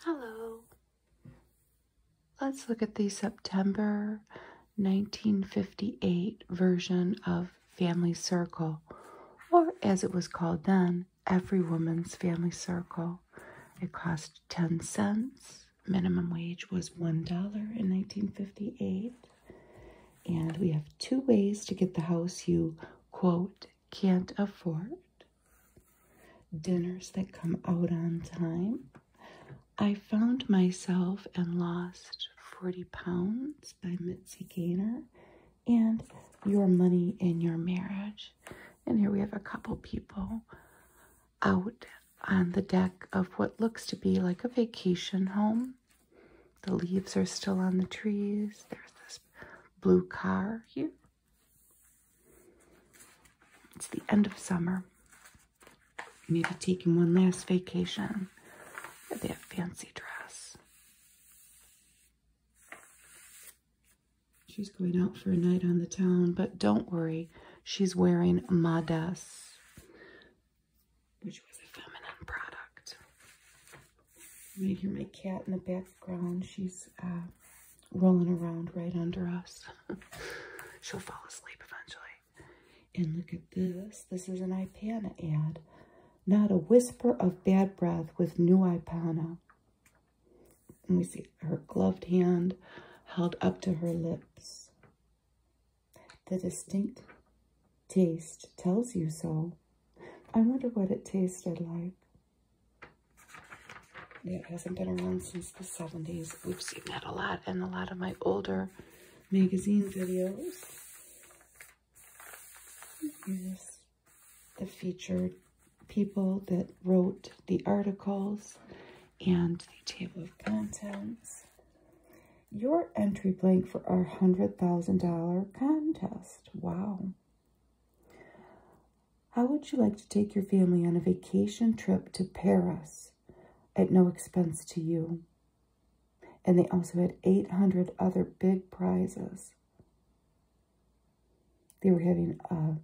Hello. Let's look at the September 1958 version of Family Circle, or as it was called then, Every Woman's Family Circle. It cost 10 cents. Minimum wage was $1 in 1958. And we have two ways to get the house you, quote, can't afford, dinners that come out on time. I found myself and lost 40 pounds by Mitzi Gaynor and Your Money in Your Marriage. And here we have a couple people out on the deck of what looks to be like a vacation home. The leaves are still on the trees. There's this blue car here. It's the end of summer. Maybe taking one last vacation with that fancy dress. She's going out for a night on the town, but don't worry, she's wearing Madas, which was a feminine product. Right here, my cat in the background. She's uh, rolling around right under us. She'll fall asleep eventually. And look at this. This is an Ipana ad. Not a whisper of bad breath with new Ipana. And we see her gloved hand held up to her lips. The distinct taste tells you so. I wonder what it tasted like. It hasn't been around since the 70s. We've seen that a lot in a lot of my older magazine videos. the featured people that wrote the articles and the table of contents. Your entry blank for our $100,000 contest. Wow. How would you like to take your family on a vacation trip to Paris at no expense to you? And they also had 800 other big prizes. They were having a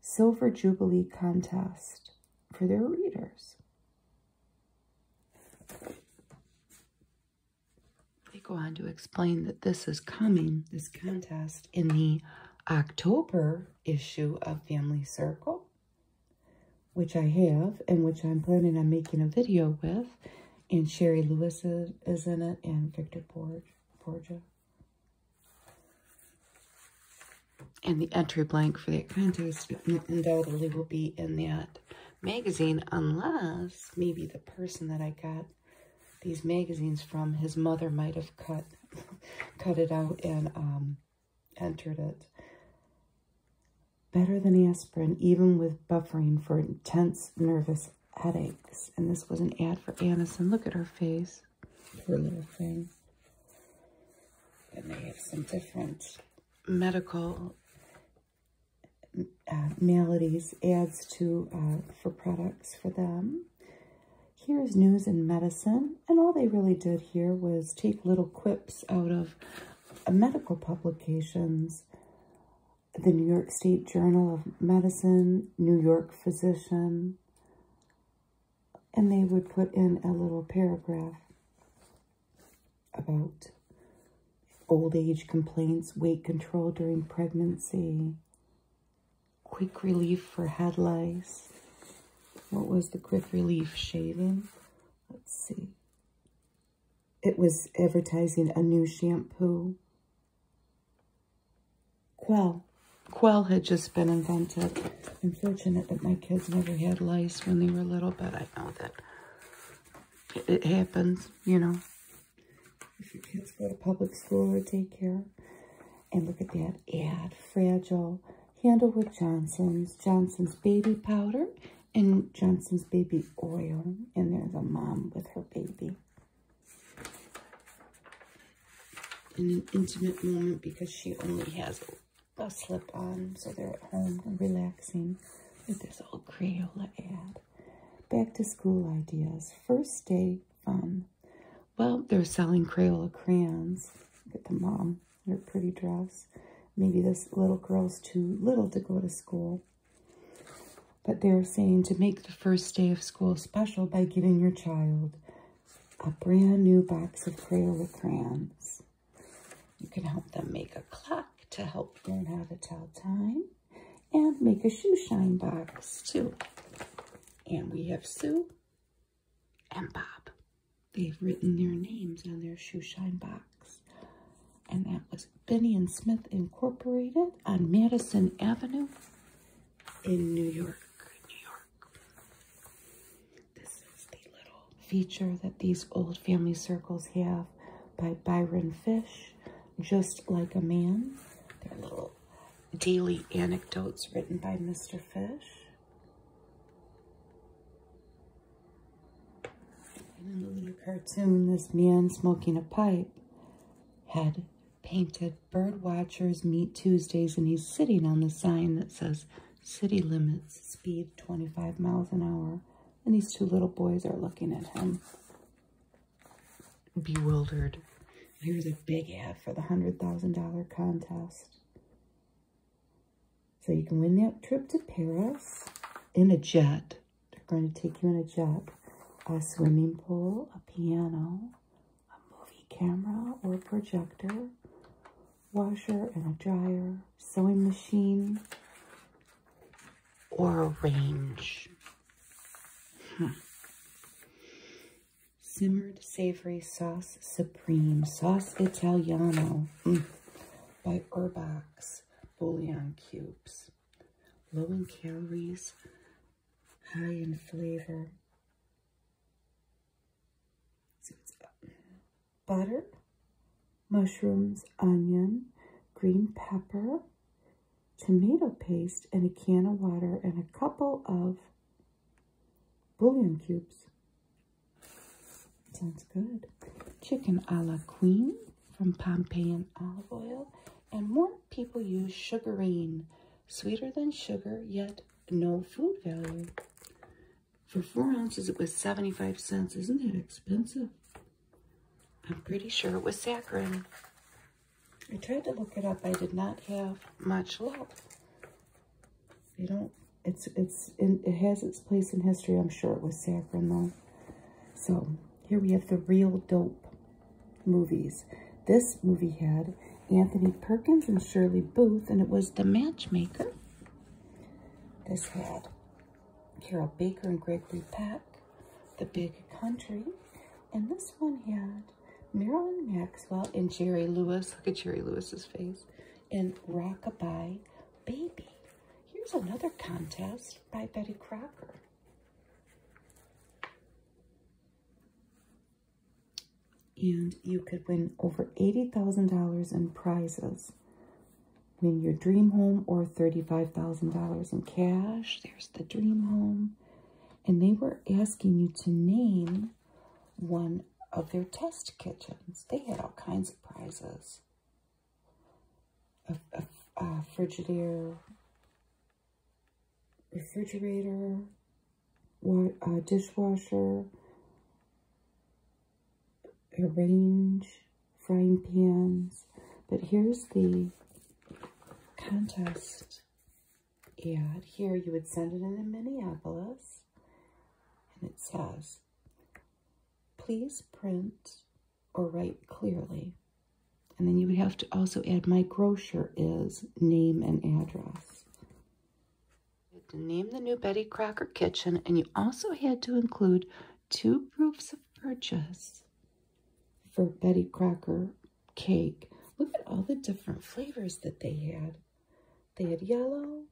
Silver Jubilee contest for their readers. They go on to explain that this is coming, this contest, in the October issue of Family Circle, which I have and which I'm planning on making a video with. And Sherry Lewis is, is in it and Victor Borge, And the entry blank for that contest undoubtedly will be in that magazine unless maybe the person that I got these magazines from, his mother might have cut cut it out and um, entered it. Better than aspirin, even with buffering for intense nervous headaches. And this was an ad for Anison. Look at her face. Poor little thing. And they have some different medical uh, maladies, ads to uh, for products for them. Here's news and medicine, and all they really did here was take little quips out of medical publications, the New York State Journal of Medicine, New York Physician, and they would put in a little paragraph about old age complaints, weight control during pregnancy, quick relief for head lice. What was the quick relief shaving? Let's see. It was advertising a new shampoo. Quell. Quell had just been invented. I'm fortunate that my kids never had lice when they were little, but I know that it happens, you know. If your kids go to public school or take care. And look at that ad, Fragile, handle with Johnson's, Johnson's Baby Powder, and Johnson's Baby Oil. And there's a mom with her baby. In an intimate moment because she only has a slip on, so they're at home relaxing. with this old Crayola ad. Back to school ideas. First day fun. Well, they're selling Crayola crayons. Look at the mom in her pretty dress. Maybe this little girl's too little to go to school. But they're saying to make the first day of school special by giving your child a brand new box of Crayola crayons. You can help them make a clock to help learn how to tell time and make a shoe shine box too. And we have Sue and Bob. They've written their names on their shoeshine box. And that was Benny and Smith Incorporated on Madison Avenue in New York. New York. This is the little feature that these old family circles have by Byron Fish, Just Like a Man. Their little daily anecdotes written by Mr. Fish. In the little cartoon, this man smoking a pipe had painted bird watchers meet Tuesdays and he's sitting on the sign that says city limits speed 25 miles an hour and these two little boys are looking at him bewildered Here's a big ad for the $100,000 contest. So you can win that trip to Paris in a jet. They're going to take you in a jet. A swimming pool, a piano, a movie camera or projector, washer and a dryer, sewing machine, or a range. Hmm. Simmered Savory Sauce Supreme Sauce Italiano mm. by Urbox Bouillon Cubes. Low in calories, high in flavor. butter, mushrooms, onion, green pepper, tomato paste, and a can of water, and a couple of bullion cubes. Sounds good. Chicken a la queen from Pompeian olive oil. And more people use sugarine, sweeter than sugar, yet no food value. For four ounces, it was 75 cents. Isn't that expensive? I'm pretty sure it was saccharin. I tried to look it up. I did not have much luck. You don't. It's it's it has its place in history. I'm sure it was saffron though. So here we have the real dope movies. This movie had Anthony Perkins and Shirley Booth, and it was The Matchmaker. This had Carol Baker and Gregory Peck, The Big Country, and this one had Marilyn Maxwell and Jerry Lewis. Look at Jerry Lewis's face. And Rockabye Baby. Here's another contest by Betty Crocker. And you could win over $80,000 in prizes. Win your dream home or $35,000 in cash. There's the dream home. And they were asking you to name one of their test kitchens. They had all kinds of prizes. A, Frigidaire, refrigerator, water, uh, dishwasher, arrange, frying pans. But here's the contest and here you would send it in Minneapolis. And it says, please print or write clearly. And then you would have to also add my grocer is name and address. You had to name the new Betty Crocker kitchen and you also had to include two proofs of purchase for Betty Crocker cake. Look at all the different flavors that they had. They had yellow,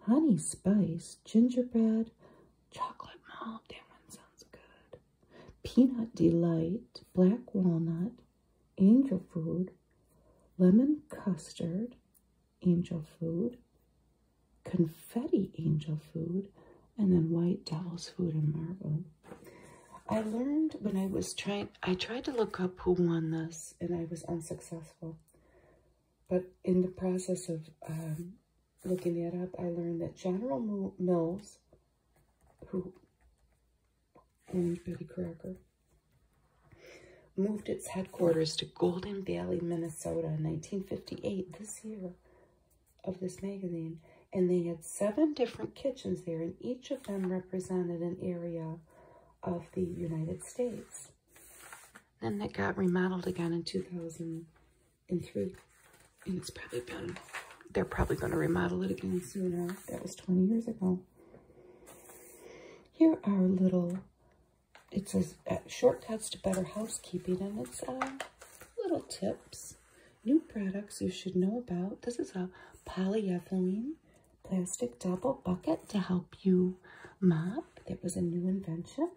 honey spice, gingerbread, chocolate malt. That sounds good. Peanut delight, black walnut, angel food, lemon custard, angel food, confetti angel food, and then white devil's food and marble. I learned when I was trying, I tried to look up who won this and I was unsuccessful. But in the process of um, looking it up, I learned that General Mills, who owned Betty Crocker, moved its headquarters to Golden Valley, Minnesota in 1958, this year of this magazine. And they had seven different kitchens there, and each of them represented an area of the United States. Then it got remodeled again in 2003. And it's probably been, they're probably going to remodel it again sooner. That was 20 years ago. Here are little, it says shortcuts to better housekeeping. And it's little tips. New products you should know about. This is a polyethylene plastic double bucket to help you mop. It was a new invention.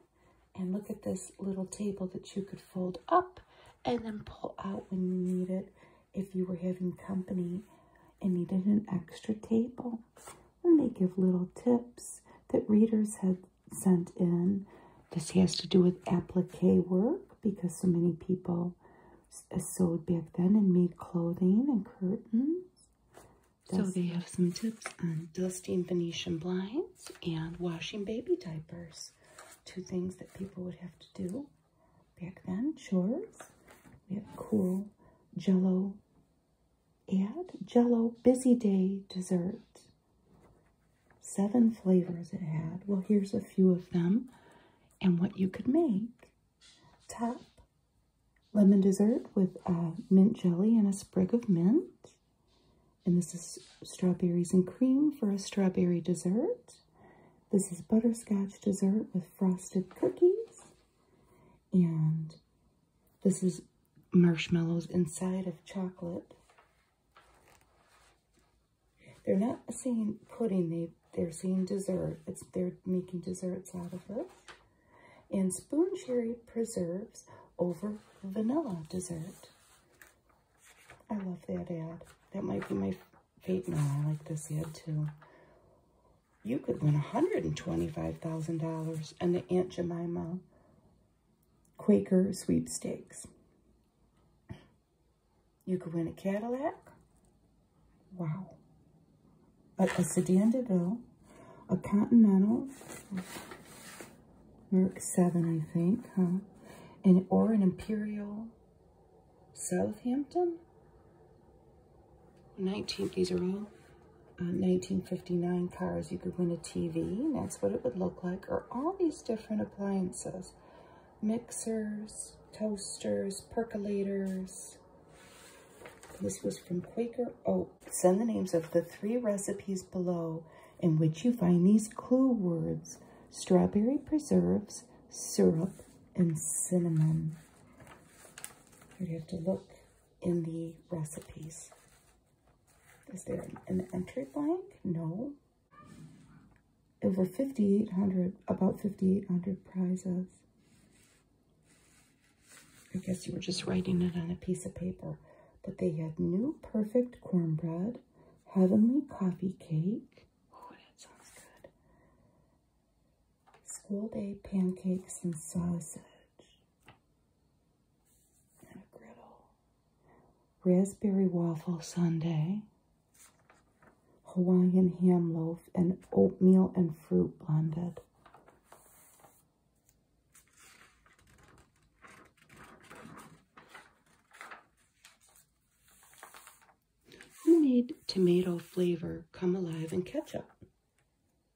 And look at this little table that you could fold up and then pull out when you need it if you were having company and needed an extra table. And they give little tips that readers had sent in. This has to do with applique work because so many people sewed back then and made clothing and curtains. So they have some tips on dusting Venetian blinds and washing baby diapers. Two things that people would have to do back then, chores. We have cool jello and jello busy day dessert. Seven flavors it had. Well, here's a few of them and what you could make. Top lemon dessert with uh, mint jelly and a sprig of mint. And this is strawberries and cream for a strawberry dessert. This is butterscotch dessert with frosted cookies. And this is marshmallows inside of chocolate. They're not saying pudding, they they're saying dessert. It's they're making desserts out of it. And spoon cherry preserves over vanilla dessert. I love that ad. That might be my favorite. No, I like this ad too. You could win $125,000 and the Aunt Jemima Quaker sweepstakes. You could win a Cadillac, Wow. A, sedan de Ville, a Continental, Mark 7, I think, And, or an Imperial Southampton? Nineteenth-century, these are all 1959 uh, cars. You could win a TV, that's what it would look like, or all these different appliances. Mixers, toasters, percolators, this was from Quaker Oh, Send the names of the three recipes below in which you find these clue words, strawberry preserves, syrup, and cinnamon. you have to look in the recipes. Is there an entry blank? No. Over 5,800, about 5,800 prizes. I guess you were just writing it on a piece of paper. But they had new perfect cornbread, heavenly coffee cake. Oh, that sounds good. School day pancakes and sausage. And a griddle. Raspberry waffle Sunday, Hawaiian ham loaf and oatmeal and fruit blended. Who made tomato flavor come alive in ketchup?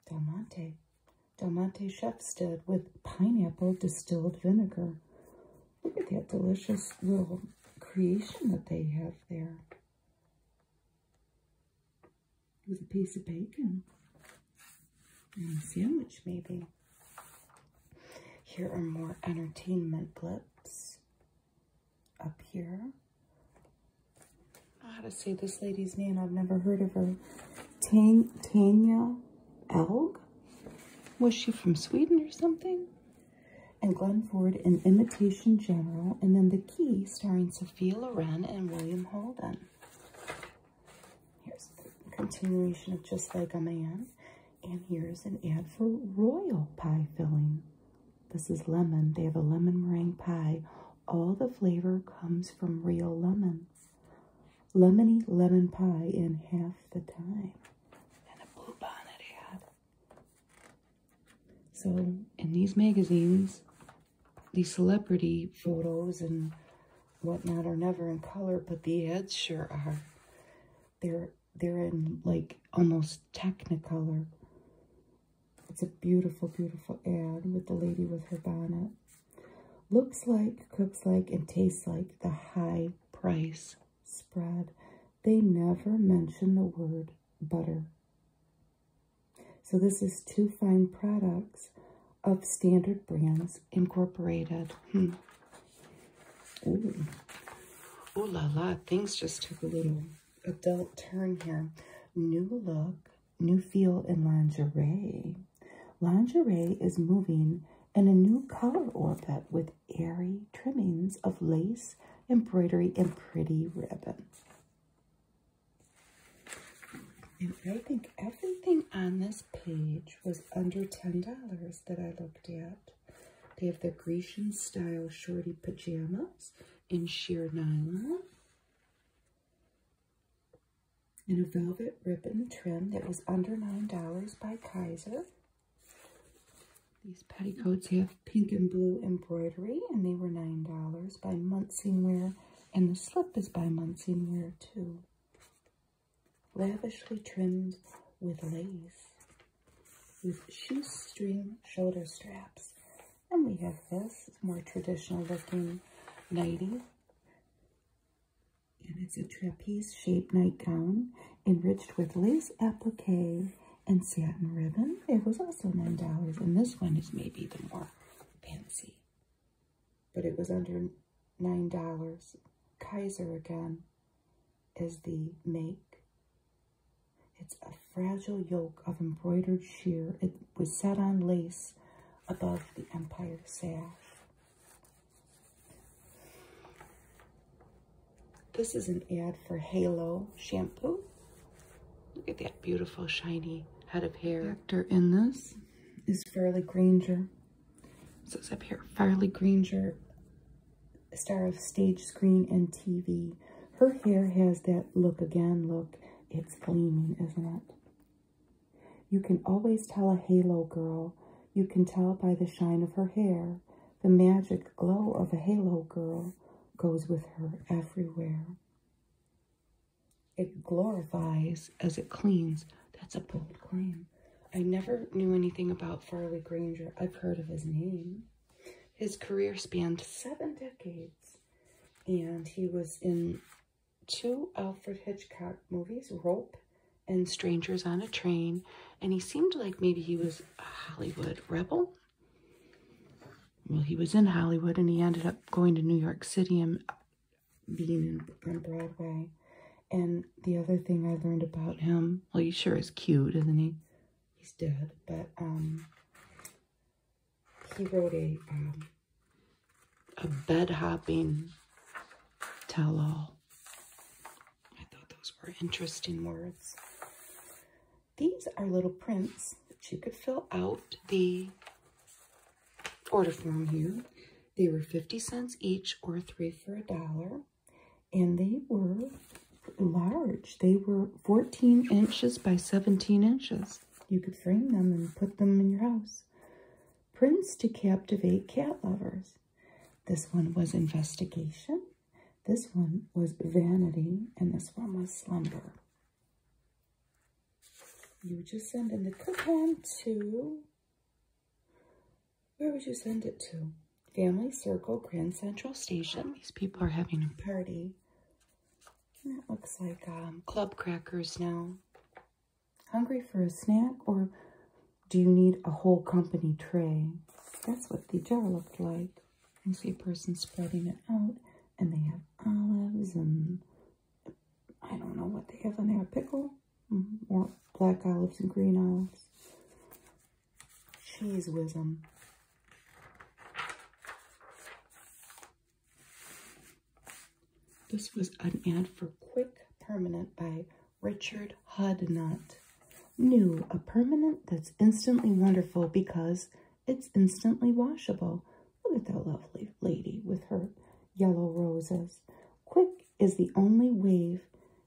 Del Monte. Del Monte chefs did with pineapple distilled vinegar. Look at that delicious little creation that they have there with a piece of bacon and a sandwich, maybe. Here are more entertainment blips up here. I had to say this lady's name. I've never heard of her. Tang Tanya Elg? Was she from Sweden or something? And Glenn Ford, an imitation general. And then the. Key, starring Sophia Loren and William Holden. Here's the continuation of Just Like a Man. And here's an ad for Royal Pie Filling. This is lemon. They have a lemon meringue pie. All the flavor comes from real lemons. Lemony lemon pie in half the time. And a blue bonnet ad. So, in these magazines, the celebrity photos and whatnot are never in color, but the ads sure are. They're they're in like almost technicolor. It's a beautiful, beautiful ad with the lady with her bonnet. Looks like, cooks like, and tastes like the high price spread. They never mention the word butter. So this is two fine products of Standard Brands Incorporated. Hmm. Ooh la la, things just took a little adult turn here. New look, new feel in lingerie. Lingerie is moving in a new color orbit with airy trimmings of lace, embroidery, and pretty ribbons. And I think everything on this page was under $10 that I looked at. They have the Grecian style shorty pajamas in sheer nylon. And a velvet ribbon trim that was under $9 by Kaiser. These petticoats have pink and blue embroidery, and they were $9 by Muncie and the slip is by Monsignor, too, lavishly trimmed with lace, with shoestring shoulder straps. And we have this, more traditional looking nightie. And it's a trapeze-shaped nightgown enriched with lace applique and satin ribbon. It was also $9, and this one is maybe the more fancy. But it was under $9. Kaiser again is the make. It's a fragile yoke of embroidered sheer. It was set on lace above the empire sash. This is an ad for Halo shampoo. Look at that beautiful shiny head of hair. Actor in this is Farley Granger. So it's up here, Farley Granger, star of stage, screen, and TV. Her hair has that look again, look. It's gleaming, isn't it? You can always tell a halo girl. You can tell by the shine of her hair. The magic glow of a halo girl goes with her everywhere. It glorifies as it cleans. That's a bold claim. I never knew anything about Farley Granger. I've heard of his name. His career spanned seven decades, and he was in two Alfred Hitchcock movies, Rope and Strangers on a Train, and he seemed like maybe he was a Hollywood rebel well, he was in Hollywood and he ended up going to New York City and being in Broadway. And the other thing I learned about him, well, he sure is cute, isn't he? He's dead, but um, he wrote a um, a bed hopping tell all. I thought those were interesting words. These are little prints that you could fill out the order form here. They were 50 cents each or three for a dollar. And they were large. They were 14 inches by 17 inches. You could frame them and put them in your house. Prints to captivate cat lovers. This one was investigation. This one was vanity. And this one was slumber. You would just send in the coupon to, where would you send it to? Family Circle, Grand Central Station. These people are having a party. That looks like um, club crackers now. Hungry for a snack or do you need a whole company tray? That's what the jar looked like. You see a person spreading it out and they have olives and I don't know what they have in there. Pickle? Mm Or black olives and green olives. Cheese wisdom. This was an ad for Quick Permanent by Richard Hudnut. New, a permanent that's instantly wonderful because it's instantly washable. Look at that lovely lady with her yellow roses. Quick is the only wave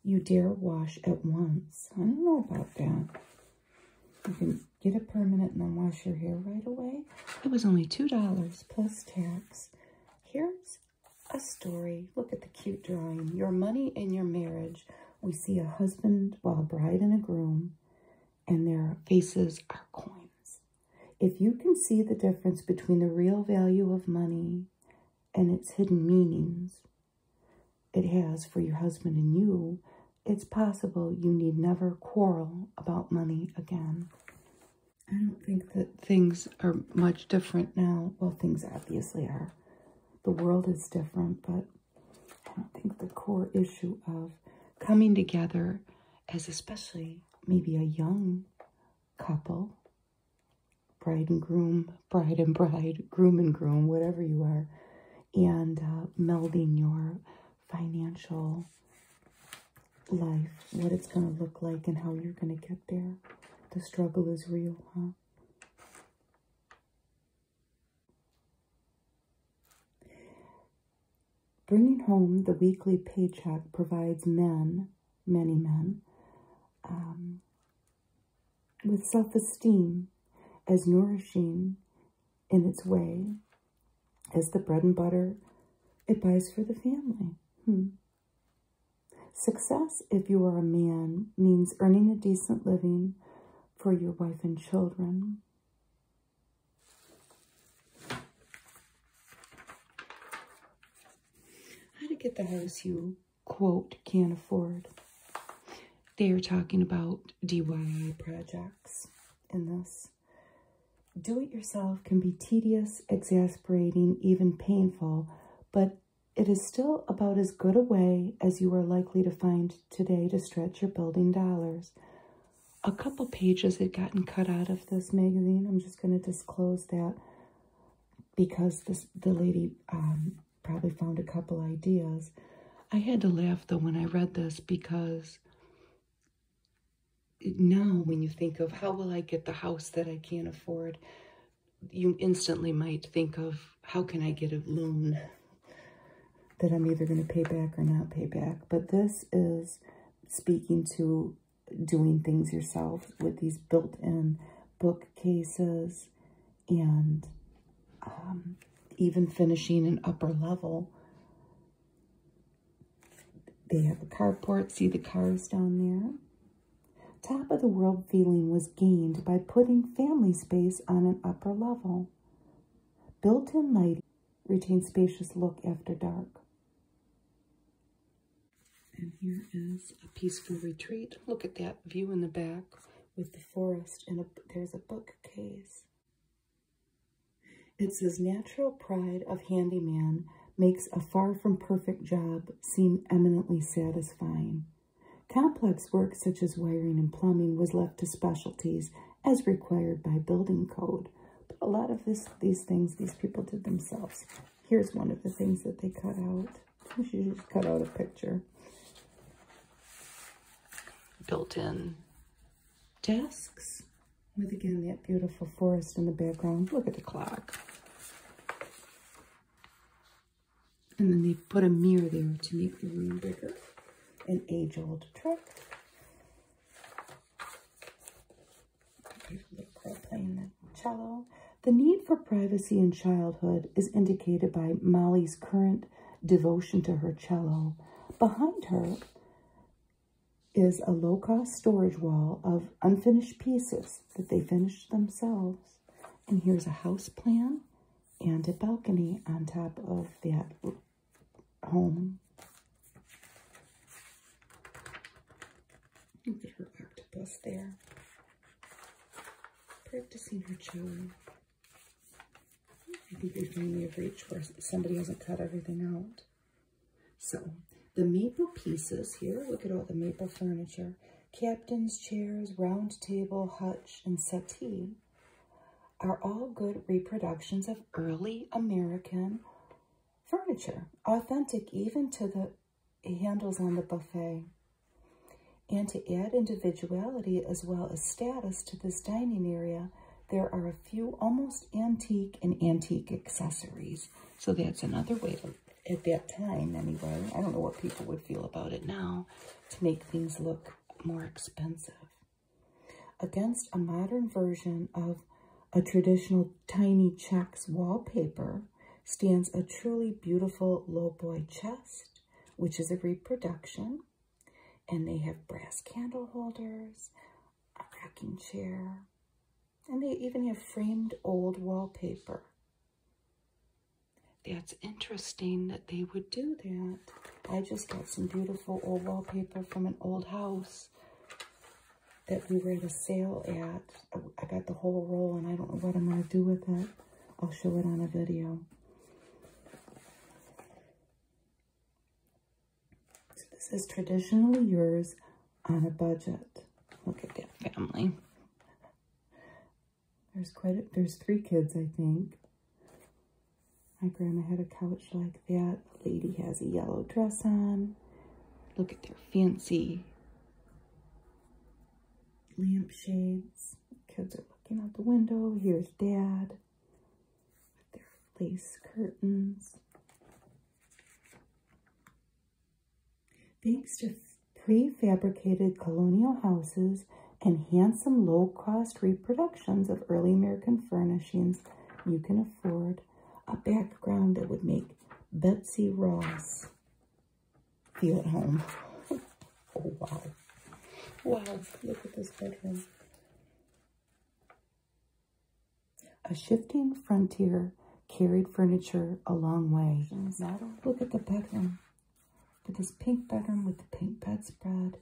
you dare wash at once. I don't know about that. You can get a permanent and then wash your hair right away. It was only $2 plus tax. Here's a story. Look at the cute drawing. Your money and your marriage. We see a husband, while a bride and a groom, and their faces are coins. If you can see the difference between the real value of money and its hidden meanings it has for your husband and you, it's possible you need never quarrel about money again. I don't think that things are much different now. Well, things obviously are. The world is different, but I don't think the core issue of coming together as especially maybe a young couple, bride and groom, bride and bride, groom and groom, whatever you are, and uh, melding your financial life, what it's going to look like and how you're going to get there. The struggle is real, huh? Bringing home the weekly paycheck provides men, many men, um, with self esteem as nourishing in its way as the bread and butter it buys for the family. Hmm. Success, if you are a man, means earning a decent living for your wife and children. How to get the house you, quote, can afford. They are talking about DIY projects in this. Do-it-yourself can be tedious, exasperating, even painful, but it is still about as good a way as you are likely to find today to stretch your building dollars a couple pages had gotten cut out of this magazine. I'm just going to disclose that because this the lady um, probably found a couple ideas. I had to laugh though when I read this because now when you think of how will I get the house that I can't afford, you instantly might think of how can I get a loan that I'm either going to pay back or not pay back. But this is speaking to doing things yourself with these built-in bookcases and um, even finishing an upper level. They have a carport. See the cars down there? Top of the world feeling was gained by putting family space on an upper level. Built-in lighting Retain spacious look after dark. And here is a peaceful retreat. Look at that view in the back with the forest and a, there's a bookcase. It says, natural pride of handyman makes a far from perfect job seem eminently satisfying. Complex work such as wiring and plumbing was left to specialties as required by building code, a lot of this, these things these people did themselves. Here's one of the things that they cut out. You should just cut out a picture. Built-in desks with, again, that beautiful forest in the background. Look at the clock. And then they put a mirror there to make the room bigger. An age-old trick the The need for privacy in childhood is indicated by Molly's current devotion to her cello. Behind her is a low-cost storage wall of unfinished pieces that they finished themselves. And here's a house plan and a balcony on top of that home. Look at her octopus there. Practicing her chewing. I think we finally have reached where somebody hasn't cut everything out. So, the maple pieces here, look at all the maple furniture. Captain's chairs, round table, hutch, and settee are all good reproductions of early American furniture, authentic even to the handles on the buffet, and to add individuality as well as status to this dining area, there are a few almost antique and antique accessories. So that's another way of, at that time anyway, I don't know what people would feel about it now, to make things look more expensive. Against a modern version of a traditional tiny checks wallpaper stands a truly beautiful lowboy chest, which is a reproduction. And they have brass candle holders, a rocking chair, and they even have framed old wallpaper. That's interesting that they would do that. I just got some beautiful old wallpaper from an old house that we were at a sale at. I got the whole roll and I don't know what I'm going to do with it. I'll show it on a video. this is traditionally yours on a budget. Look at that family. There's quite a, there's three kids, I think. My grandma had a couch like that. lady has a yellow dress on. Look at their fancy lampshades. Kids are looking out the window. Here's dad their lace curtains. Thanks to prefabricated colonial houses and handsome low-cost reproductions of early American furnishings, you can afford a background that would make Betsy Ross feel at home. oh, wow. Wow, look at this bedroom. A shifting frontier carried furniture a long way. Look at the bedroom. at this pink bedroom with the pink bedspread,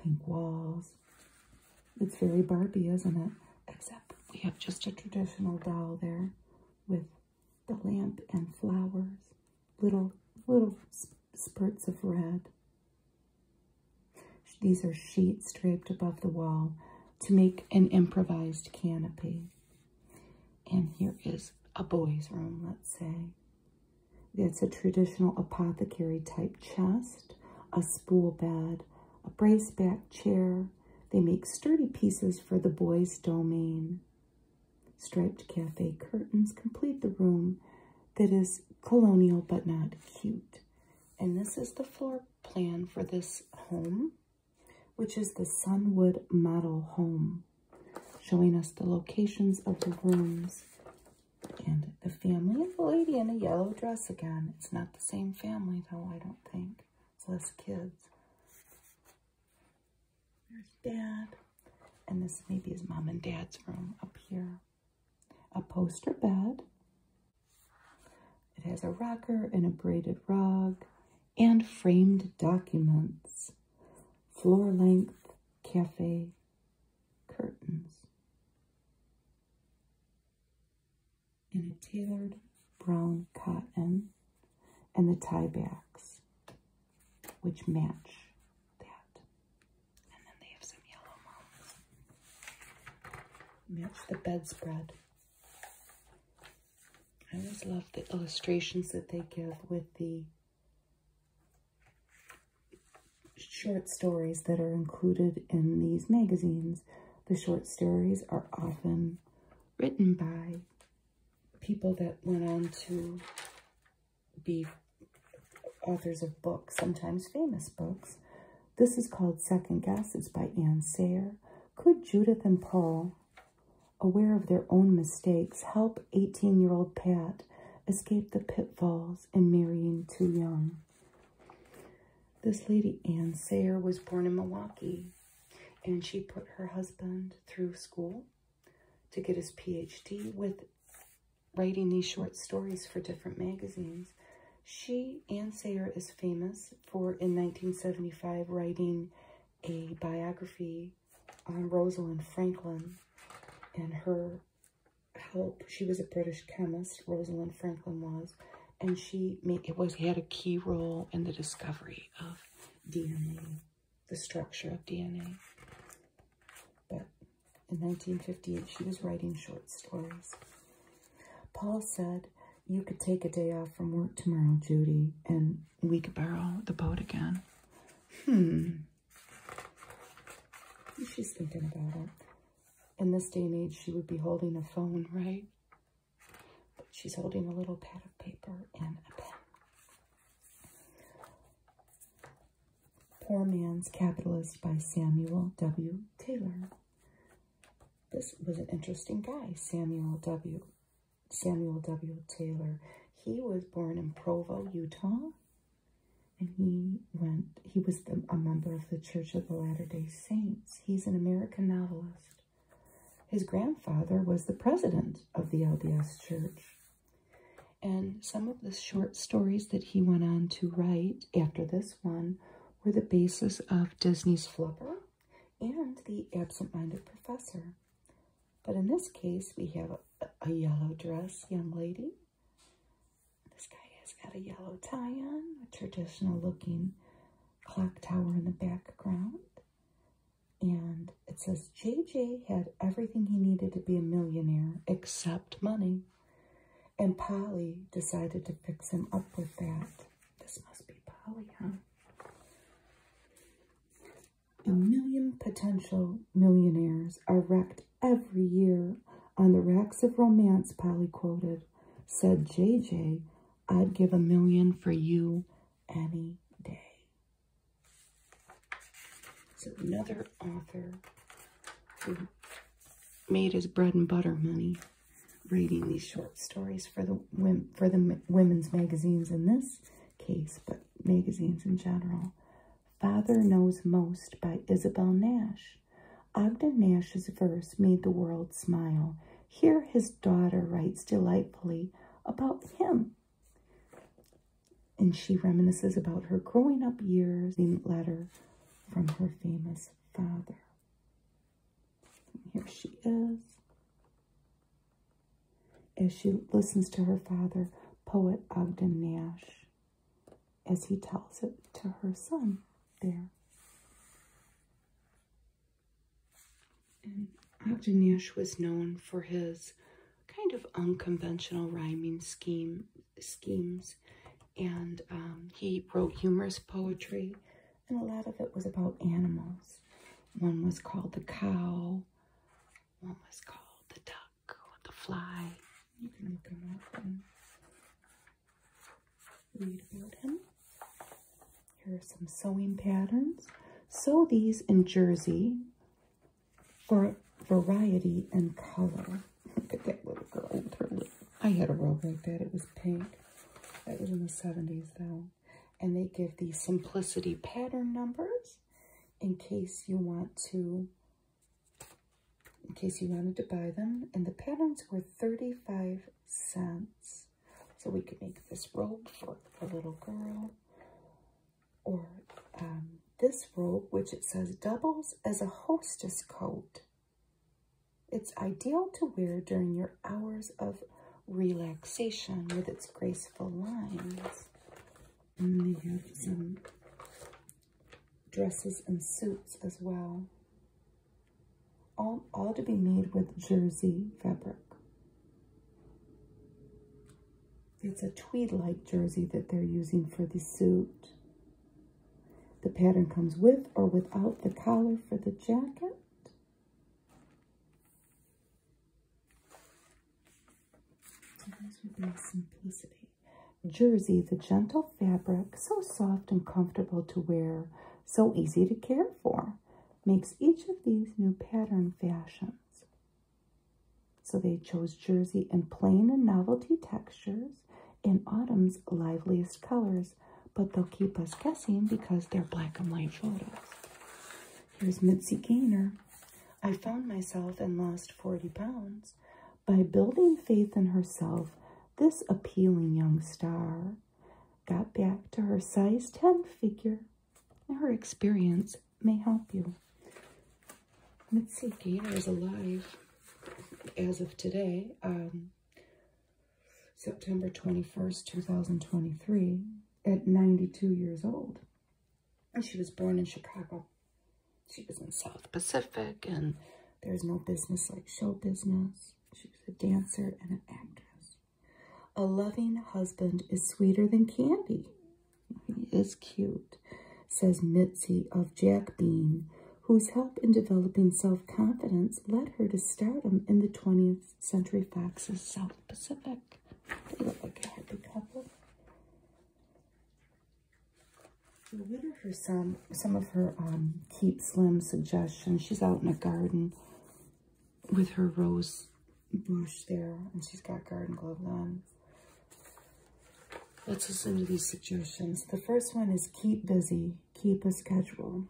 pink walls, it's very Barbie, isn't it? Except we have just a traditional doll there with the lamp and flowers, little little spurts of red. These are sheets draped above the wall to make an improvised canopy. And here is a boy's room, let's say. It's a traditional apothecary type chest, a spool bed, a brace back chair. They make sturdy pieces for the boys' domain. Striped cafe curtains complete the room that is colonial but not cute. And this is the floor plan for this home, which is the Sunwood Model Home, showing us the locations of the rooms and the family of the lady in a yellow dress again. It's not same family, though, I don't think. It's less kids. There's dad. And this maybe is mom and dad's room up here. A poster bed. It has a rocker and a braided rug and framed documents. Floor length cafe curtains in a tailored brown cotton and the tie backs, which match that. And then they have some yellow mounts. Match the bedspread. I always love the illustrations that they give with the short stories that are included in these magazines. The short stories are often written by people that went on to be authors of books, sometimes famous books. This is called Second Guesses by Anne Sayer. Could Judith and Paul, aware of their own mistakes, help 18-year-old Pat escape the pitfalls in marrying too young? This lady, Anne Sayer, was born in Milwaukee, and she put her husband through school to get his PhD with writing these short stories for different magazines. She, Ann Sayer, is famous for, in 1975, writing a biography on Rosalind Franklin and her help. She was a British chemist, Rosalind Franklin was, and she made it was had a key role in the discovery of DNA, the structure of DNA. But in 1958, she was writing short stories. Paul said, you could take a day off from work tomorrow, Judy, and we could borrow the boat again. Hmm. She's thinking about it. In this day and age, she would be holding a phone, right? She's holding a little pad of paper and a pen. Poor Man's Capitalist by Samuel W. Taylor. This was an interesting guy, Samuel W. Samuel W. Taylor. He was born in Provo, Utah, and he went. He was a member of the Church of the Latter Day Saints He's an American novelist. His grandfather was the president of the LDS Church. And some of the short stories that he went on to write after this one were the basis of Disney's Flubber and The Absent-Minded Professor. But in this case, we have a, a yellow dress young lady. This guy has got a yellow tie on, a traditional looking clock tower in the background. And it says JJ had everything he needed to be a millionaire except money. And Polly decided to fix him up with that. This must be Polly, huh? A million potential millionaires are wrecked every year on the racks of romance, Polly quoted, said JJ, I'd give a million for you any day. So another author who made his bread and butter money reading these short stories for the women, for the women's magazines in this case, but magazines in general. Father Knows Most by Isabel Nash. Ogden Nash's verse made the world smile. Here his daughter writes delightfully about him. And she reminisces about her growing up years in letter from her famous father. here she is. As she listens to her father, poet Ogden Nash, as he tells it to her son there. And Agdinesh was known for his kind of unconventional rhyming scheme schemes, and um, he wrote humorous poetry, and a lot of it was about animals. One was called the cow, one was called the duck, the fly. You can look them up Read about him. Here are some sewing patterns. Sew these in jersey for variety and color. Look at that little girl with her I had a robe like that. It was pink. That was in the 70s though. And they give the simplicity pattern numbers in case you want to in case you wanted to buy them. And the patterns were 35 cents. So we could make this robe for a little girl. Or um, this robe, which it says doubles as a hostess coat. It's ideal to wear during your hours of relaxation with its graceful lines. And they have some dresses and suits as well. All, to be made with jersey fabric. It's a tweed-like jersey that they're using for the suit. The pattern comes with or without the collar for the jacket. So those would be simplicity. Jersey, the gentle fabric, so soft and comfortable to wear, so easy to care therefore makes each of these new pattern fashions. So they chose jersey and plain and novelty textures in autumn's liveliest colors, but they'll keep us guessing because they're black and white photos. Here's Mitzi Gaynor. I found myself and lost 40 pounds. By building faith in herself, this appealing young star got back to her size 10 figure. Her experience may help you. Let's see, Gator is alive as of today, um, September 21st, 2023, at 92 years old. And she was born in Chicago. She was in South Pacific, and there's no business like show business. She's a dancer and an actress. A loving husband is sweeter than candy. He is cute, says Mitzi of Jack Bean, whose help in developing self-confidence led her to stardom in the 20th Century Fox's South Pacific. They look like a happy couple. We'll witter her some, some of her um, Keep Slim suggestions. She's out in a garden with her rose bush there, and she's got garden gloves on. Let's listen to these suggestions. The first one is keep busy, keep a schedule.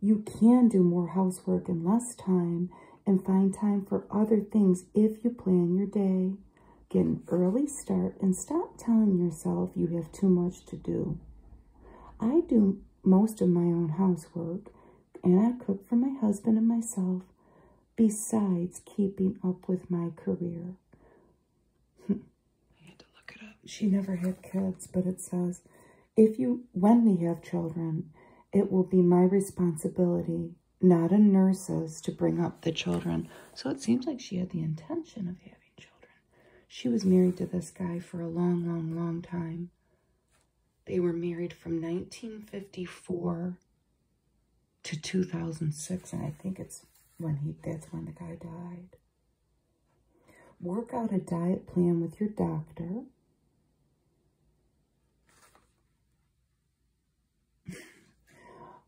You can do more housework in less time and find time for other things if you plan your day. Get an early start and stop telling yourself you have too much to do. I do most of my own housework, and I cook for my husband and myself, besides keeping up with my career. I need to look it up. She never had kids, but it says, if you, when we have children, it will be my responsibility, not a nurse's, to bring up the children. So it seems like she had the intention of having children. She was married to this guy for a long, long, long time. They were married from 1954 to 2006, and I think it's when he that's when the guy died. Work out a diet plan with your doctor.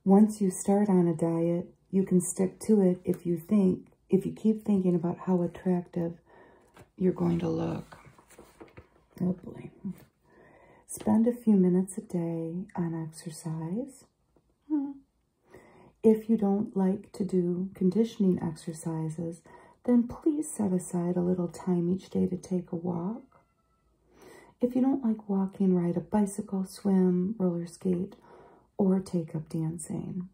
Once you start on a diet, you can stick to it if you think if you keep thinking about how attractive you're going to look, oh Spend a few minutes a day on exercise. Hmm. If you don't like to do conditioning exercises, then please set aside a little time each day to take a walk. If you don't like walking, ride a bicycle, swim, roller skate, or take up dancing.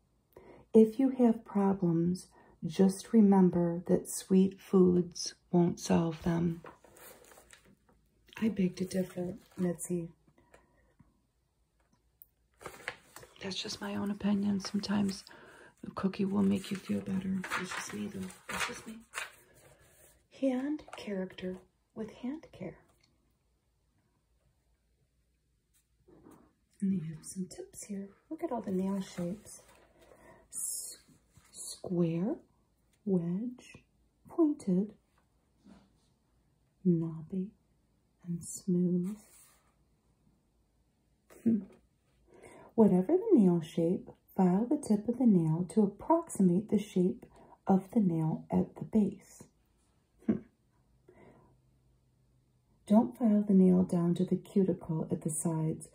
If you have problems, just remember that sweet foods won't solve them. I baked a different, Mitzi. That's just my own opinion. Sometimes a cookie will make you feel better. This is me, though. This is me. Hand character with hand care. And they have some tips here. Look at all the nail shapes. square, wedge, pointed, knobby, and smooth. Hmm. Whatever the nail shape, file the tip of the nail to approximate the shape of the nail at the base. Hmm. Don't file the nail down to the cuticle at the sides,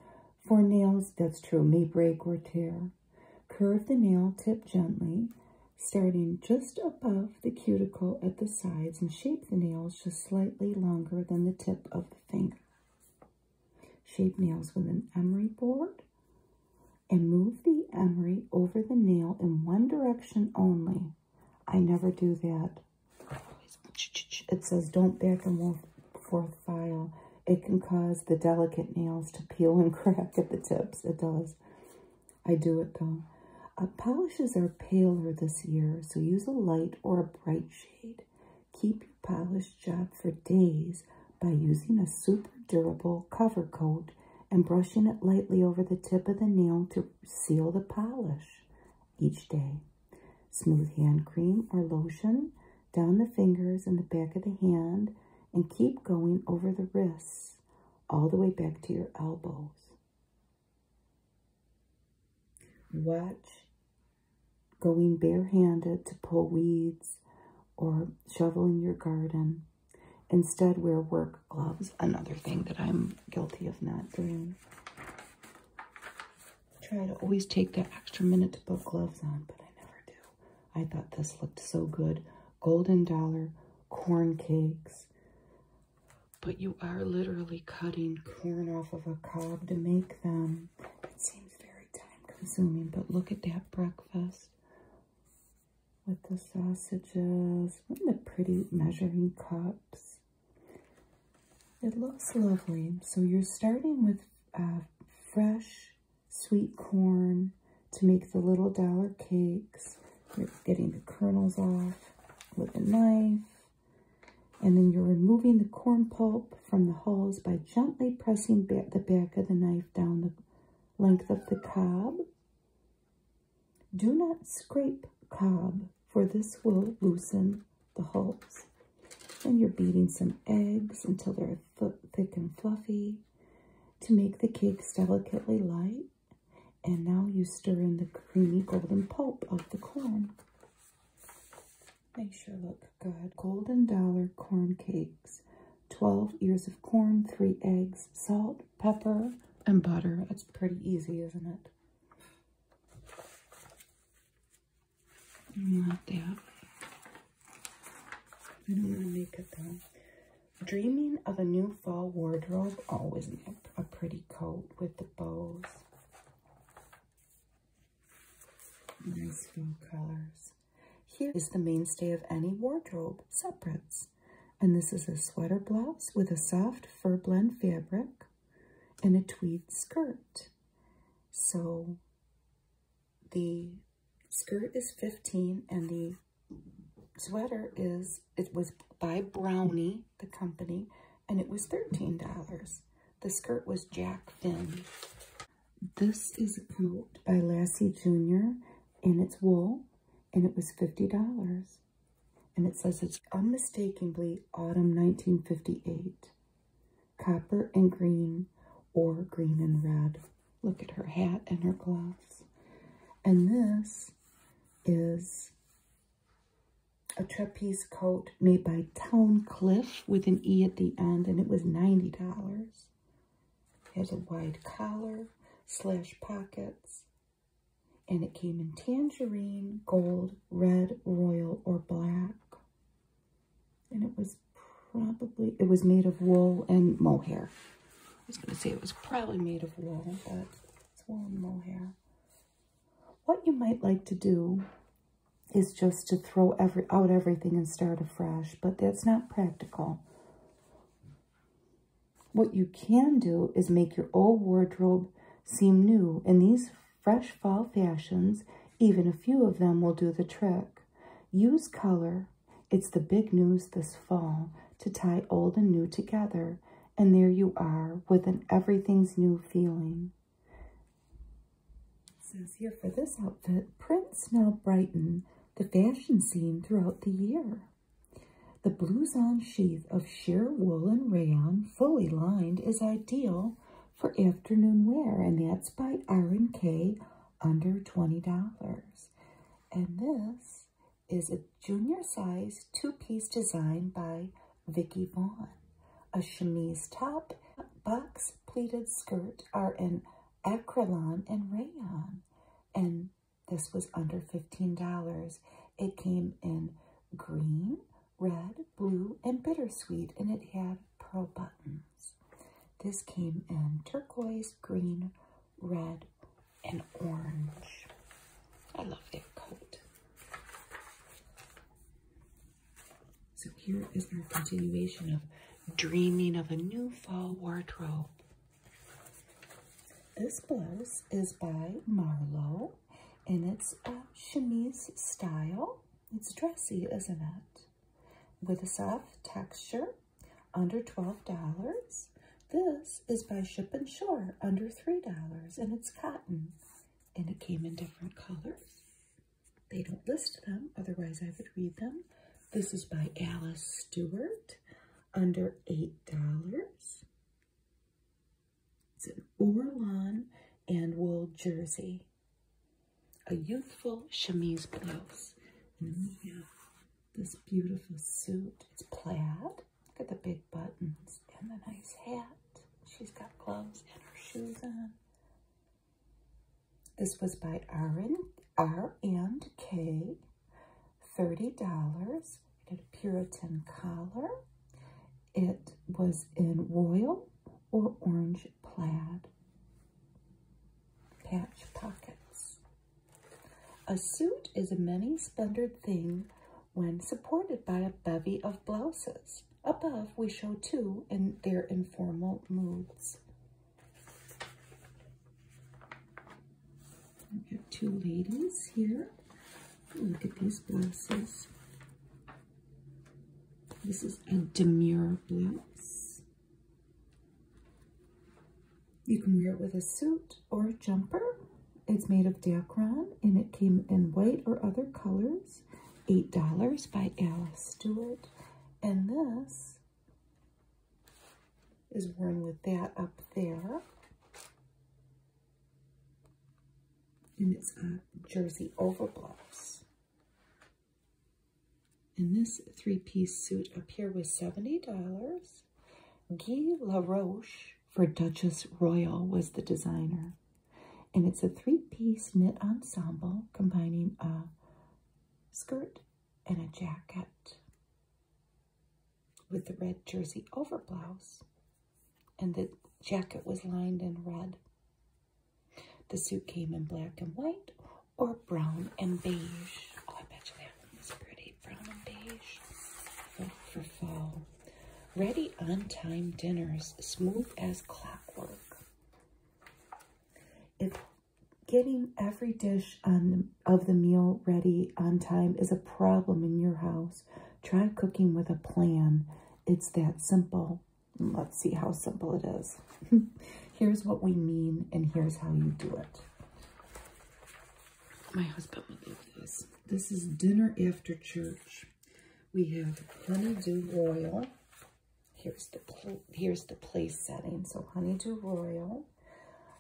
for nails, that's true, may break or tear. Curve the nail tip gently, starting just above the cuticle at the sides and shape the nails just slightly longer than the tip of the finger. Shape nails with an emery board and move the emery over the nail in one direction only. I never do that. It says don't back and forth file. It can cause the delicate nails to peel and crack at the tips. It does. I do it though. Uh, polishes are paler this year, so use a light or a bright shade. Keep your polished job for days by using a super durable cover coat and brushing it lightly over the tip of the nail to seal the polish each day. Smooth hand cream or lotion down the fingers and the back of the hand and keep going over the wrists all the way back to your elbows. Watch going barehanded to pull weeds or shovel in your garden. Instead, wear work gloves, another thing that I'm guilty of not doing. I try to always take that extra minute to put gloves on, but I never do. I thought this looked so good. Golden Dollar corn cakes. But you are literally cutting corn off of a cob to make them. It seems very time consuming, but look at that breakfast with the sausages and the pretty measuring cups. It looks lovely. So you're starting with uh, fresh sweet corn to make the little dollar cakes. You're getting the kernels off with a knife. And then you're removing the corn pulp from the hulls by gently pressing the back of the knife down the length of the cob. Do not scrape cob for this will loosen the hulls. and you're beating some eggs until they're thick and fluffy to make the cakes delicately light. And now you stir in the creamy golden pulp of the corn. They sure look good. Golden Dollar Corn Cakes. 12 ears of corn, 3 eggs, salt, pepper, and butter. It's pretty easy, isn't it? Not that I don't want to make it though. Dreaming of a new fall wardrobe. Always a pretty coat with the bows. Nice blue colors. Here is the mainstay of any wardrobe, separates. And this is a sweater blouse with a soft fur blend fabric and a tweed skirt. So the skirt is 15 and the sweater is, it was by Brownie, the company, and it was $13. The skirt was Jack Finn. This is a coat by Lassie Jr. and it's wool and it was $50 and it says it's unmistakably autumn 1958. Copper and green, or green and red. Look at her hat and her gloves. And this is a trapeze coat made by Town Cliff with an E at the end, and it was $90. It has a wide collar, slash pockets, and it came in tangerine, gold, red, royal, or black. And it was probably, it was made of wool and mohair. I was going to say it was probably made of wool, but it's wool and mohair. What you might like to do is just to throw every out everything and start afresh, but that's not practical. What you can do is make your old wardrobe seem new, and these fresh fall fashions, even a few of them will do the trick. Use color, it's the big news this fall, to tie old and new together, and there you are with an everything's new feeling. It says here for this outfit, prints now brighten the fashion scene throughout the year. The blues on sheath of sheer wool and rayon fully lined, is ideal for afternoon wear, and that's by r k under $20. And this is a junior size two-piece design by Vicky Vaughn. A chemise top, box pleated skirt are in acrylon and rayon. And this was under $15. It came in green, red, blue, and bittersweet, and it had pearl buttons. This came in turquoise, green, red, and orange. I love that coat. So here is my continuation of dreaming of a new fall wardrobe. This blouse is by Marlowe and it's a um, chemise style. It's dressy, isn't it? With a soft texture, under $12. This is by Ship and Shore, under $3, and it's cotton. And it came in different colors. They don't list them, otherwise I would read them. This is by Alice Stewart, under $8. It's an Ourlan and wool jersey. A youthful chemise blouse. this beautiful suit. It's plaid. Look at the big buttons and the nice hat. She's got gloves and her shoes on. This was by R&K. $30. It had a Puritan collar. It was in royal or orange plaid patch pockets. A suit is a many-splendid thing when supported by a bevy of blouses. Above, we show two in their informal moods. We have two ladies here. Look at these blouses. This is a demure blouse. You can wear it with a suit or a jumper. It's made of Dacron and it came in white or other colors. $8 by Alice Stewart. And this is worn with that up there. And it's a jersey overblouse. And this three-piece suit up here was $70. Guy LaRoche for Duchess Royal was the designer. And it's a three-piece knit ensemble combining a skirt and a jacket with the red jersey overblouse and the jacket was lined in red. The suit came in black and white or brown and beige. Oh, I bet you that one was pretty, brown and beige for, fall. Ready on time dinners, smooth as clockwork. If getting every dish on of the meal ready on time is a problem in your house. Try cooking with a plan. It's that simple. Let's see how simple it is. here's what we mean and here's how you do it. My husband would love this. This is dinner after church. We have honeydew royal. Here's the here's the place setting. So honeydew royal,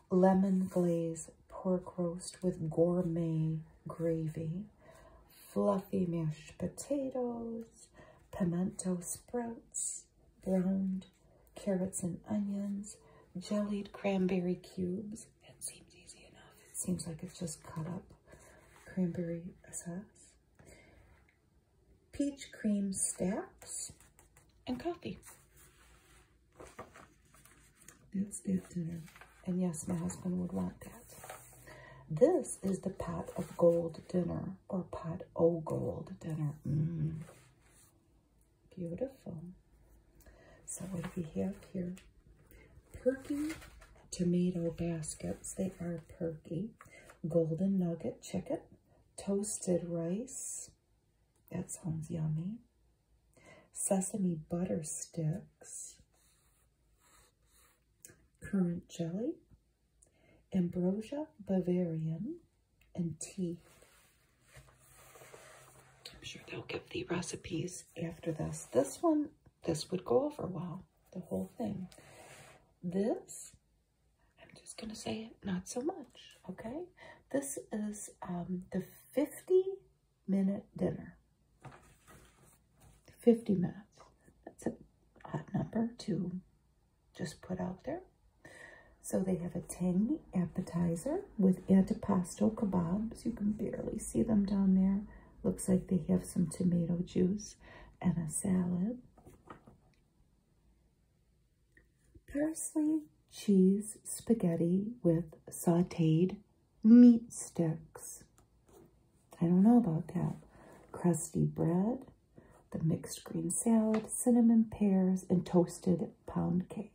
lemon glaze pork roast with gourmet gravy, fluffy mashed potatoes, pimento sprouts, browned carrots and onions, jellied cranberry cubes. It seems easy enough. seems like it's just cut up cranberry sauce, peach cream stacks, and coffee. That's it and yes, my husband would want that. This is the pot of gold dinner or pot o' gold dinner. Mm. Beautiful. So what do we have here? Perky tomato baskets. They are perky. Golden nugget chicken. Toasted rice. That sounds yummy. Sesame butter sticks currant jelly, ambrosia Bavarian, and tea. I'm sure they'll give the recipes after this. This one, this would go over well, the whole thing. This, I'm just going to say it, not so much, okay? This is um, the 50-minute dinner. 50 minutes. That's a odd number to just put out there. So they have a tangy appetizer with antipasto kebabs. You can barely see them down there. Looks like they have some tomato juice and a salad. Parsley, cheese, spaghetti with sauteed meat sticks. I don't know about that. Crusty bread, the mixed green salad, cinnamon pears, and toasted pound cake.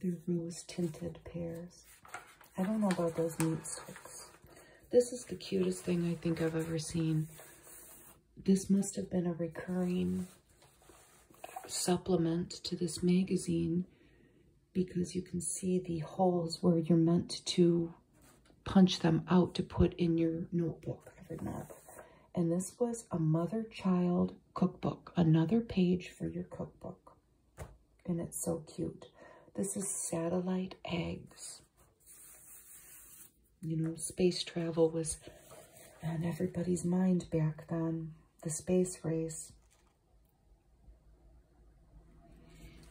The rose tinted pears. I don't know about those meat sticks. This is the cutest thing I think I've ever seen. This must have been a recurring supplement to this magazine because you can see the holes where you're meant to punch them out to put in your notebook And this was a mother-child cookbook, another page for your cookbook. And it's so cute. This is satellite eggs. You know, space travel was on everybody's mind back then the space race.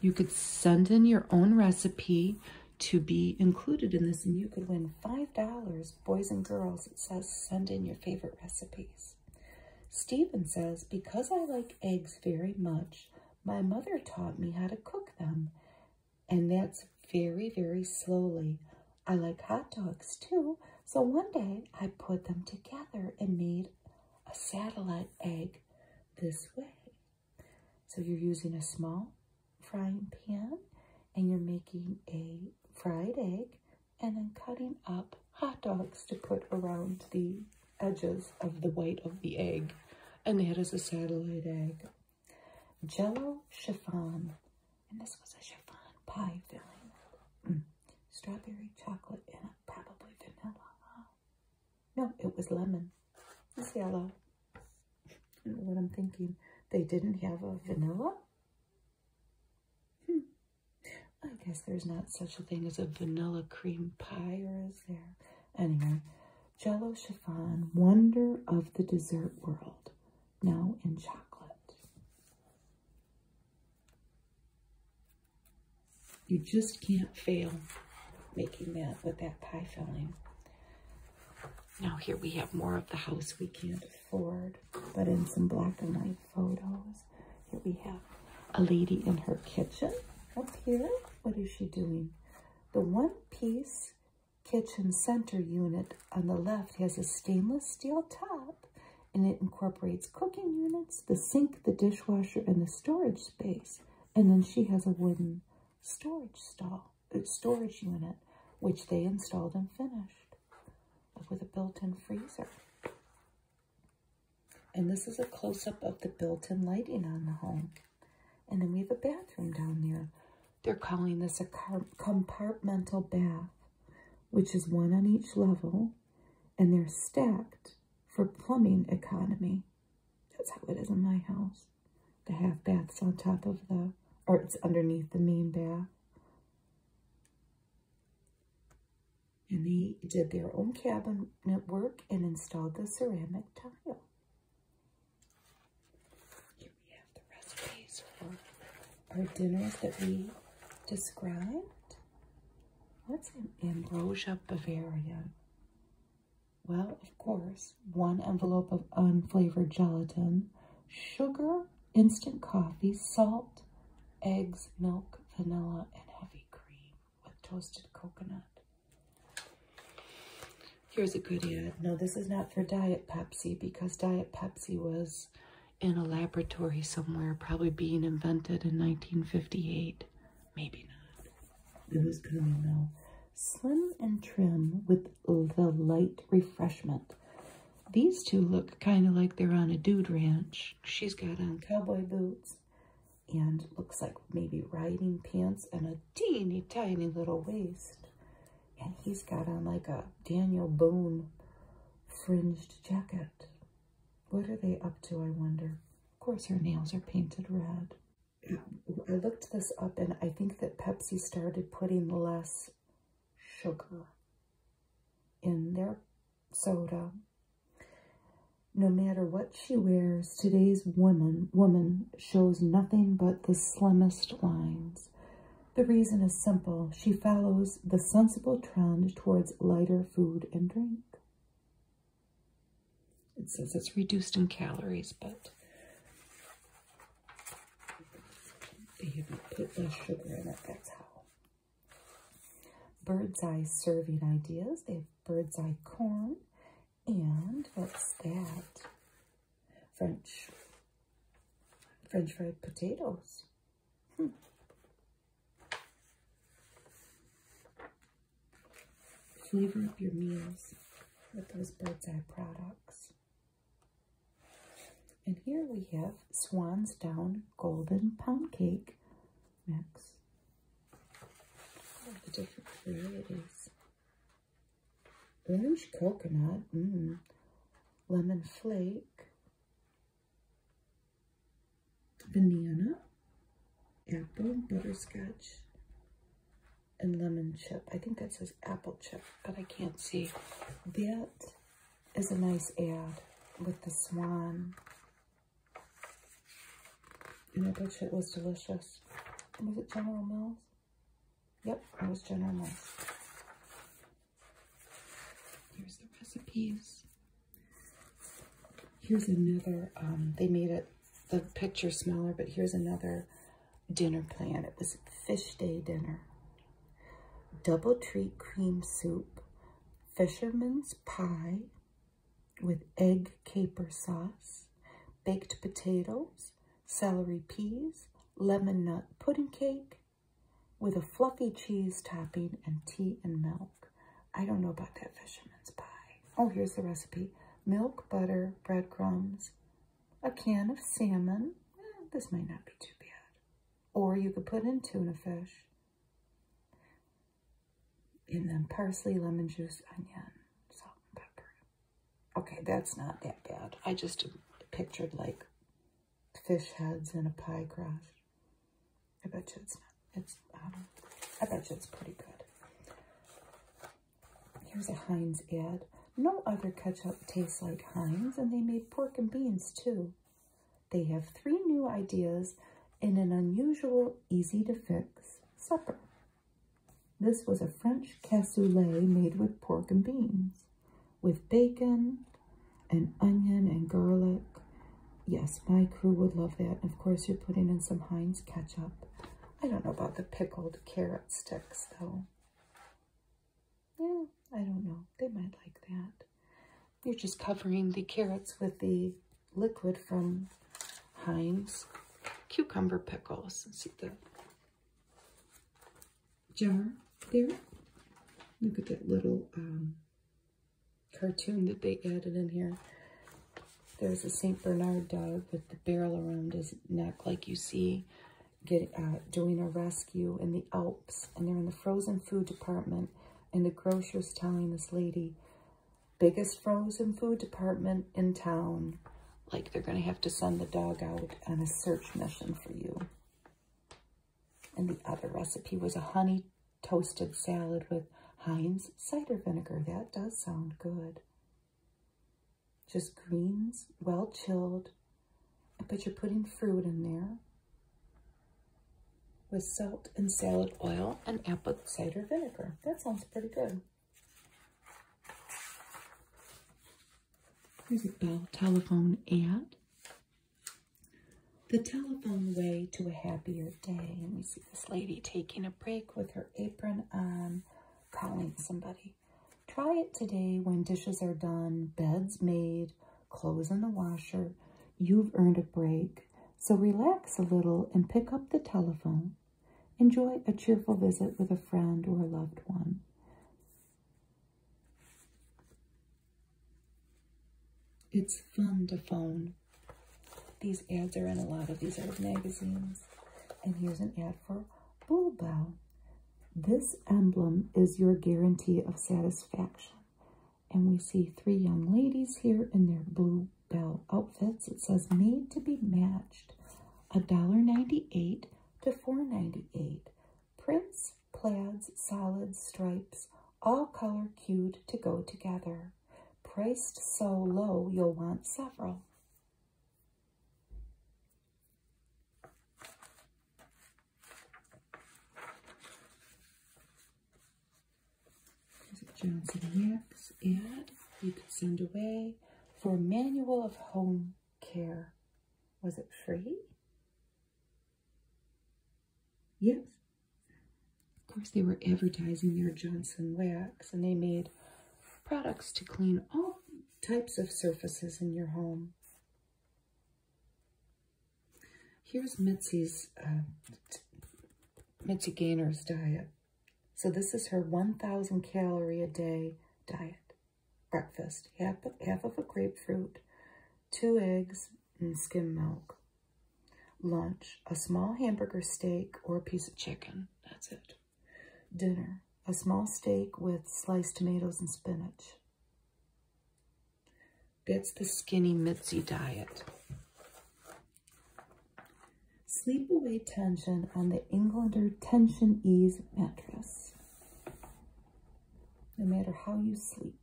You could send in your own recipe to be included in this and you could win $5. Boys and girls, it says send in your favorite recipes. Stephen says, because I like eggs very much, my mother taught me how to cook them. And that's very, very slowly. I like hot dogs too, so one day I put them together and made a satellite egg this way. So you're using a small frying pan and you're making a fried egg and then cutting up hot dogs to put around the edges of the white of the egg. And there is a satellite egg. Jello chiffon and this was a chiffon pie filling. Mm. Strawberry, chocolate, and probably vanilla. No, it was lemon. It's yellow. I don't know what I'm thinking. They didn't have a vanilla? Hmm. I guess there's not such a thing as a vanilla cream pie, or is there? Anyway, Jello Chiffon, Wonder of the Dessert World, now in chocolate. You just can't fail making that with that pie filling. Now here we have more of the house we can't afford, but in some black and white photos. Here we have a lady in her kitchen up here. What is she doing? The one-piece kitchen center unit on the left has a stainless steel top and it incorporates cooking units, the sink, the dishwasher, and the storage space. And then she has a wooden storage stall, uh, storage unit, which they installed and finished with a built-in freezer. And this is a close-up of the built-in lighting on the home. And then we have a bathroom down there. They're calling this a compartmental bath which is one on each level, and they're stacked for plumbing economy. That's how it is in my house. The half bath's on top of the, or it's underneath the main bath. And they did their own cabinet work and installed the ceramic tile. Here we have the recipes for our dinners that we described. What's an ambrosia bavaria? Well, of course, one envelope of unflavored gelatin, sugar, instant coffee, salt, eggs, milk, vanilla, and heavy cream with toasted coconut. Here's a good ad. No, this is not for Diet Pepsi because Diet Pepsi was in a laboratory somewhere, probably being invented in 1958. Maybe not. It was coming though. Slim and trim with the light refreshment. These two look kind of like they're on a dude ranch. She's got on cowboy boots and looks like maybe riding pants and a teeny tiny little waist. And he's got on like a Daniel Boone fringed jacket. What are they up to, I wonder? Of course, her nails are painted red. I looked this up and I think that Pepsi started putting less sugar in their soda. No matter what she wears, today's woman, woman shows nothing but the slimmest lines. The reason is simple. She follows the sensible trend towards lighter food and drink. It says it's reduced in calories, but they have put less sugar in it, that's how. Bird's eye serving ideas. They have bird's eye corn and what's that? French French fried potatoes. Hmm. Flavor up your meals with those bird's eye products. And here we have Swan's Down Golden Pound Cake Mix. All the different varieties. Orange coconut, mm, lemon flake, banana, apple, butterscotch, and lemon chip. I think that says apple chip, but I can't see. That is a nice ad with the swan. And I bet you it was delicious. was it General Mills? Yep, it was General Mills. Here's the recipes. Here's another, um, they made it the picture smaller, but here's another dinner plan. It was fish day dinner. Double treat cream soup, fisherman's pie with egg caper sauce, baked potatoes, celery peas, lemon nut pudding cake, with a fluffy cheese topping and tea and milk. I don't know about that fisherman's pie. Oh, here's the recipe. Milk, butter, breadcrumbs, a can of salmon. Eh, this might not be too bad. Or you could put in tuna fish. And then parsley, lemon juice, onion, salt pepper. Okay, that's not that bad. I just pictured like fish heads and a pie crust. I bet you it's not, it's, um, I bet you it's pretty good. Here's a Heinz ad. No other ketchup tastes like Heinz, and they made pork and beans too. They have three new ideas in an unusual, easy-to-fix supper. This was a French cassoulet made with pork and beans, with bacon, and onion and garlic. Yes, my crew would love that. And of course, you're putting in some Heinz ketchup. I don't know about the pickled carrot sticks, though. Yeah, I don't know. They might like that. You're just covering the carrots with the liquid from Heinz cucumber pickles. see the jar there. Look at that little um, cartoon that they added in here. There's a St. Bernard dog with the barrel around his neck like you see uh, doing a rescue in the Alps. And they're in the frozen food department. And the grocer's telling this lady, biggest frozen food department in town. Like they're going to have to send the dog out on a search mission for you. And the other recipe was a honey toasted salad with Heinz cider vinegar. That does sound good. Just greens, well chilled. But you're putting fruit in there with salt and salad oil and apple cider vinegar. That sounds pretty good. Here's a Bell telephone ad. The telephone way to a happier day. And we see this lady taking a break with her apron on, um, calling somebody. Try it today when dishes are done, beds made, clothes in the washer. You've earned a break. So relax a little and pick up the telephone. Enjoy a cheerful visit with a friend or a loved one. It's fun to phone. These ads are in a lot of these old magazines. And here's an ad for Bulbow. This emblem is your guarantee of satisfaction. And we see three young ladies here in their blue bell outfits. It says made to be matched. $1.98 to $4.98. Prints, plaids, solids, stripes, all color cued to go together. Priced so low, you'll want several. There's Johnson Hicks ad you could send away for Manual of Home Care. Was it free? Yes. Of course, they were advertising their Johnson wax, and they made products to clean all types of surfaces in your home. Here's Mitzi's, uh, Mitzi Gainer's diet. So this is her 1,000 calorie a day diet. Breakfast, half, half of a grapefruit, two eggs, and skim milk. Lunch, a small hamburger steak or a piece of chicken. That's it. Dinner, a small steak with sliced tomatoes and spinach. That's the skinny Mitzi diet. Sleep away tension on the Englander Tension Ease mattress. No matter how you sleep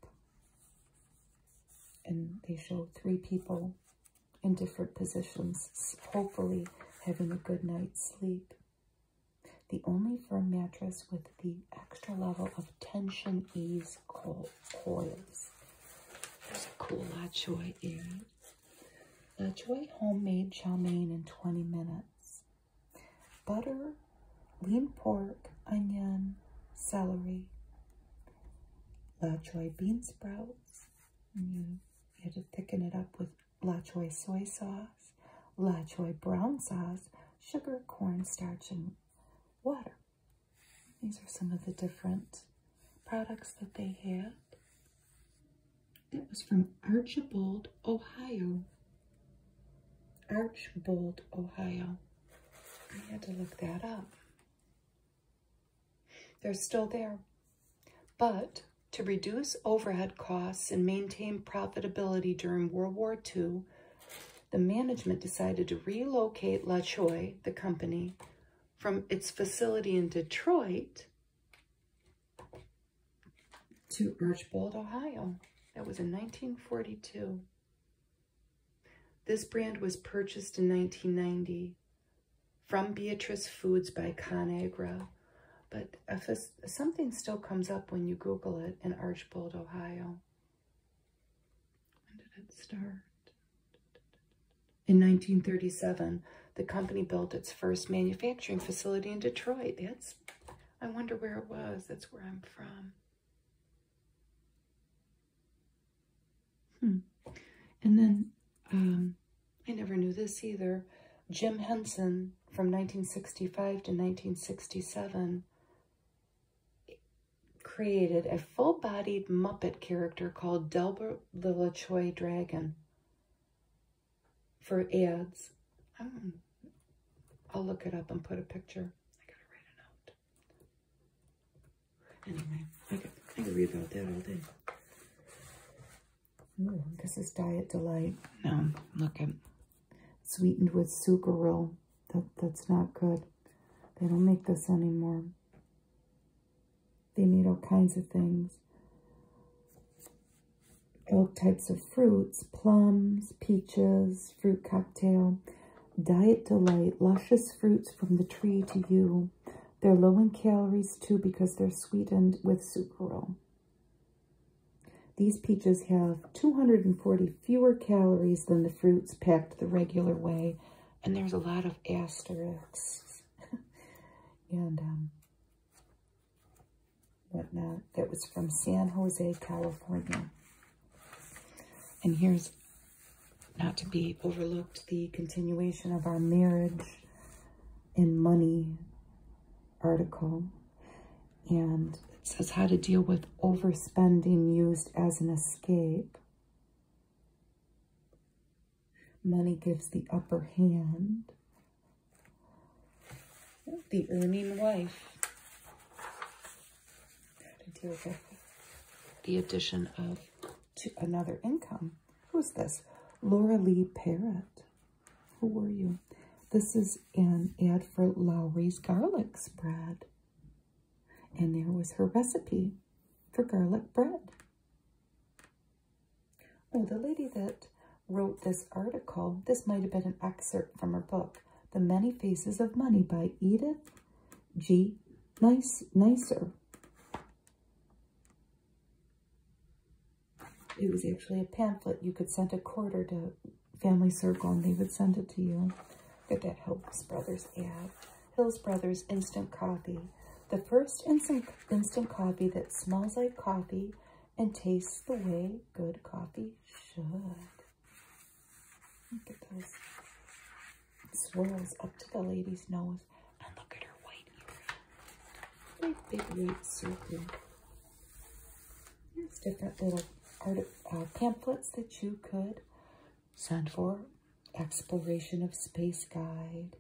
and they show three people in different positions, hopefully having a good night's sleep. The only firm mattress with the extra level of tension ease co coils. cool La Choy earring. La Choy homemade chow mein in 20 minutes. Butter, lean pork, onion, celery, Lachoy bean sprouts. you, had to thicken it up with lachoy soy sauce, lachoy brown sauce, sugar, cornstarch, and water. These are some of the different products that they had. That was from Archbold, Ohio. Archbold, Ohio. I had to look that up. They're still there. But to reduce overhead costs and maintain profitability during World War II, the management decided to relocate La Choy, the company, from its facility in Detroit to Archbold, Ohio. That was in 1942. This brand was purchased in 1990 from Beatrice Foods by ConAgra, but something still comes up when you Google it in Archbold, Ohio. When did it start? In 1937, the company built its first manufacturing facility in Detroit. That's, I wonder where it was. That's where I'm from. Hmm. And then, um, I never knew this either. Jim Henson from 1965 to 1967 created a full-bodied Muppet character called Delbert the LaChoy Dragon for ads. I'll look it up and put a picture. I gotta write a note. Anyway, I could, I could read about that all day. Ooh, this is Diet Delight. No, look at sweetened with sucral. That that's not good. They don't make this anymore. They made all kinds of things. All types of fruits, plums, peaches, fruit cocktail. Diet delight, luscious fruits from the tree to you. They're low in calories too because they're sweetened with sucralose. These peaches have 240 fewer calories than the fruits packed the regular way. And there's a lot of asterisks and um, whatnot. That was from San Jose, California. And here's not to be overlooked, the continuation of our marriage and money article. And it says how to deal with overspending used as an escape. Money gives the upper hand. The earning wife the addition of another income. Who's this? Laura Lee Parrott. Who were you? This is an ad for Lowry's garlic spread. And there was her recipe for garlic bread. Oh, the lady that wrote this article, this might have been an excerpt from her book, The Many Faces of Money by Edith G nice, nicer. It was actually a pamphlet. You could send a quarter to Family Circle and they would send it to you. Get that Hills Brothers ad. Hills Brothers Instant Coffee. The first instant, instant coffee that smells like coffee and tastes the way good coffee should. Look at those swirls up to the lady's nose. And look at her white earring. Big, big white circle. There's different little art, uh, pamphlets that you could send for. Exploration of Space Guide.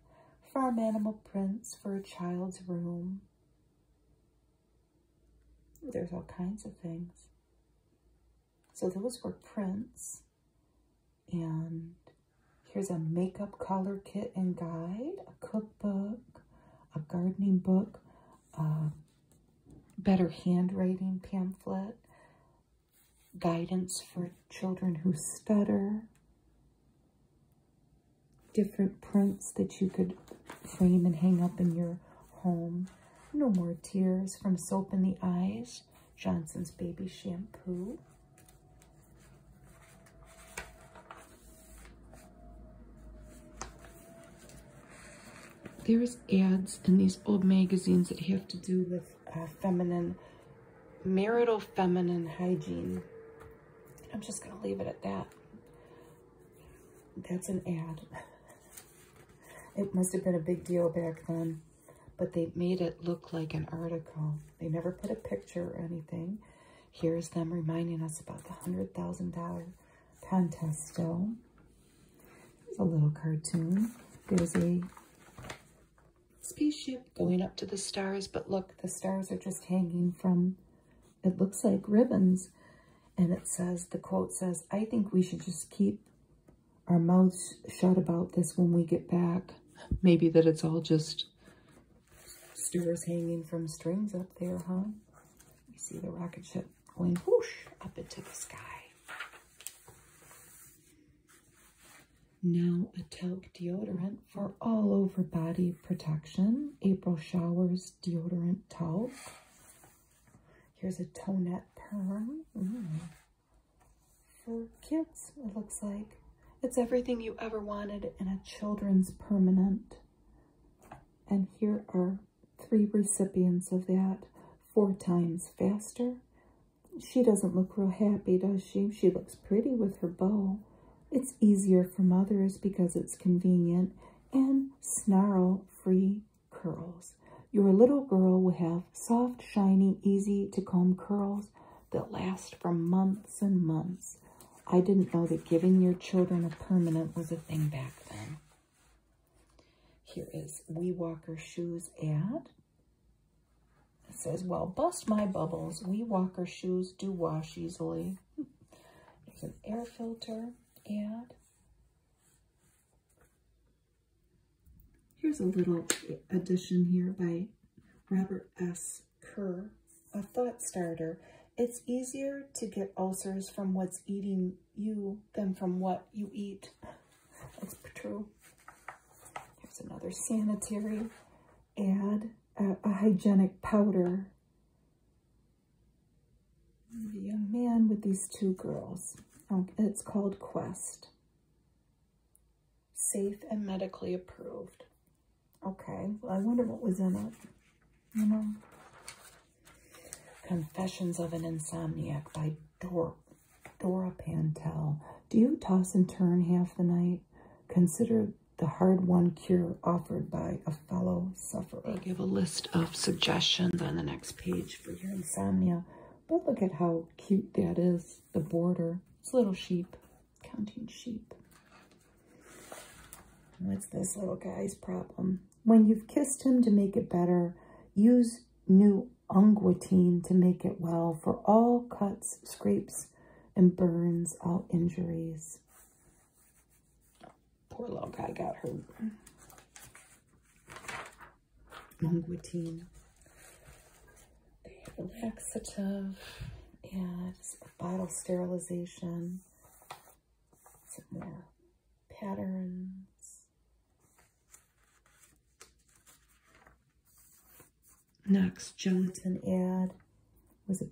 Farm Animal Prints for a Child's Room. There's all kinds of things. So those were prints. And here's a makeup color kit and guide, a cookbook, a gardening book, a better handwriting pamphlet, guidance for children who stutter, different prints that you could frame and hang up in your home. No more tears from soap in the eyes. Johnson's Baby Shampoo. There's ads in these old magazines that have to do with uh, feminine, marital feminine hygiene. I'm just going to leave it at that. That's an ad. It must have been a big deal back then but they made it look like an article. They never put a picture or anything. Here's them reminding us about the $100,000 contesto. It's a little cartoon. There's a spaceship going up to the stars, but look, the stars are just hanging from, it looks like ribbons. And it says, the quote says, I think we should just keep our mouths shut about this when we get back. Maybe that it's all just stores hanging from strings up there, huh? You see the rocket ship going whoosh up into the sky. Now a talc deodorant for all over body protection. April Showers Deodorant Talc. Here's a tonette perm for kids, it looks like. It's everything you ever wanted in a children's permanent. And here are three recipients of that, four times faster. She doesn't look real happy, does she? She looks pretty with her bow. It's easier for mothers because it's convenient and snarl-free curls. Your little girl will have soft, shiny, easy to comb curls that last for months and months. I didn't know that giving your children a permanent was a thing back then. Here is Wee Walker Shoes ad. It says, well, bust my bubbles. Wee Walker shoes do wash easily. There's an air filter ad. Here's a little addition here by Robert S. Kerr, a thought starter. It's easier to get ulcers from what's eating you than from what you eat. That's true. Here's another sanitary ad, a, hygienic powder. The young man with these two girls. Oh, it's called Quest. Safe and medically approved. Okay, well, I wonder what was in it. You know? Confessions of an Insomniac by Dor Dora Pantel. Do you toss and turn half the night? Consider the hard-won cure offered by a fellow sufferer. I'll give a list of suggestions on the next page for your insomnia. But look at how cute that is the border. It's little sheep, counting sheep. What's this little guy's problem? When you've kissed him to make it better, use new unguentine to make it well for all cuts, scrapes, and burns, all injuries. Poor little guy got hurt languidine. a laxative and a bottle sterilization. Some more patterns. Knox gelatin ad was a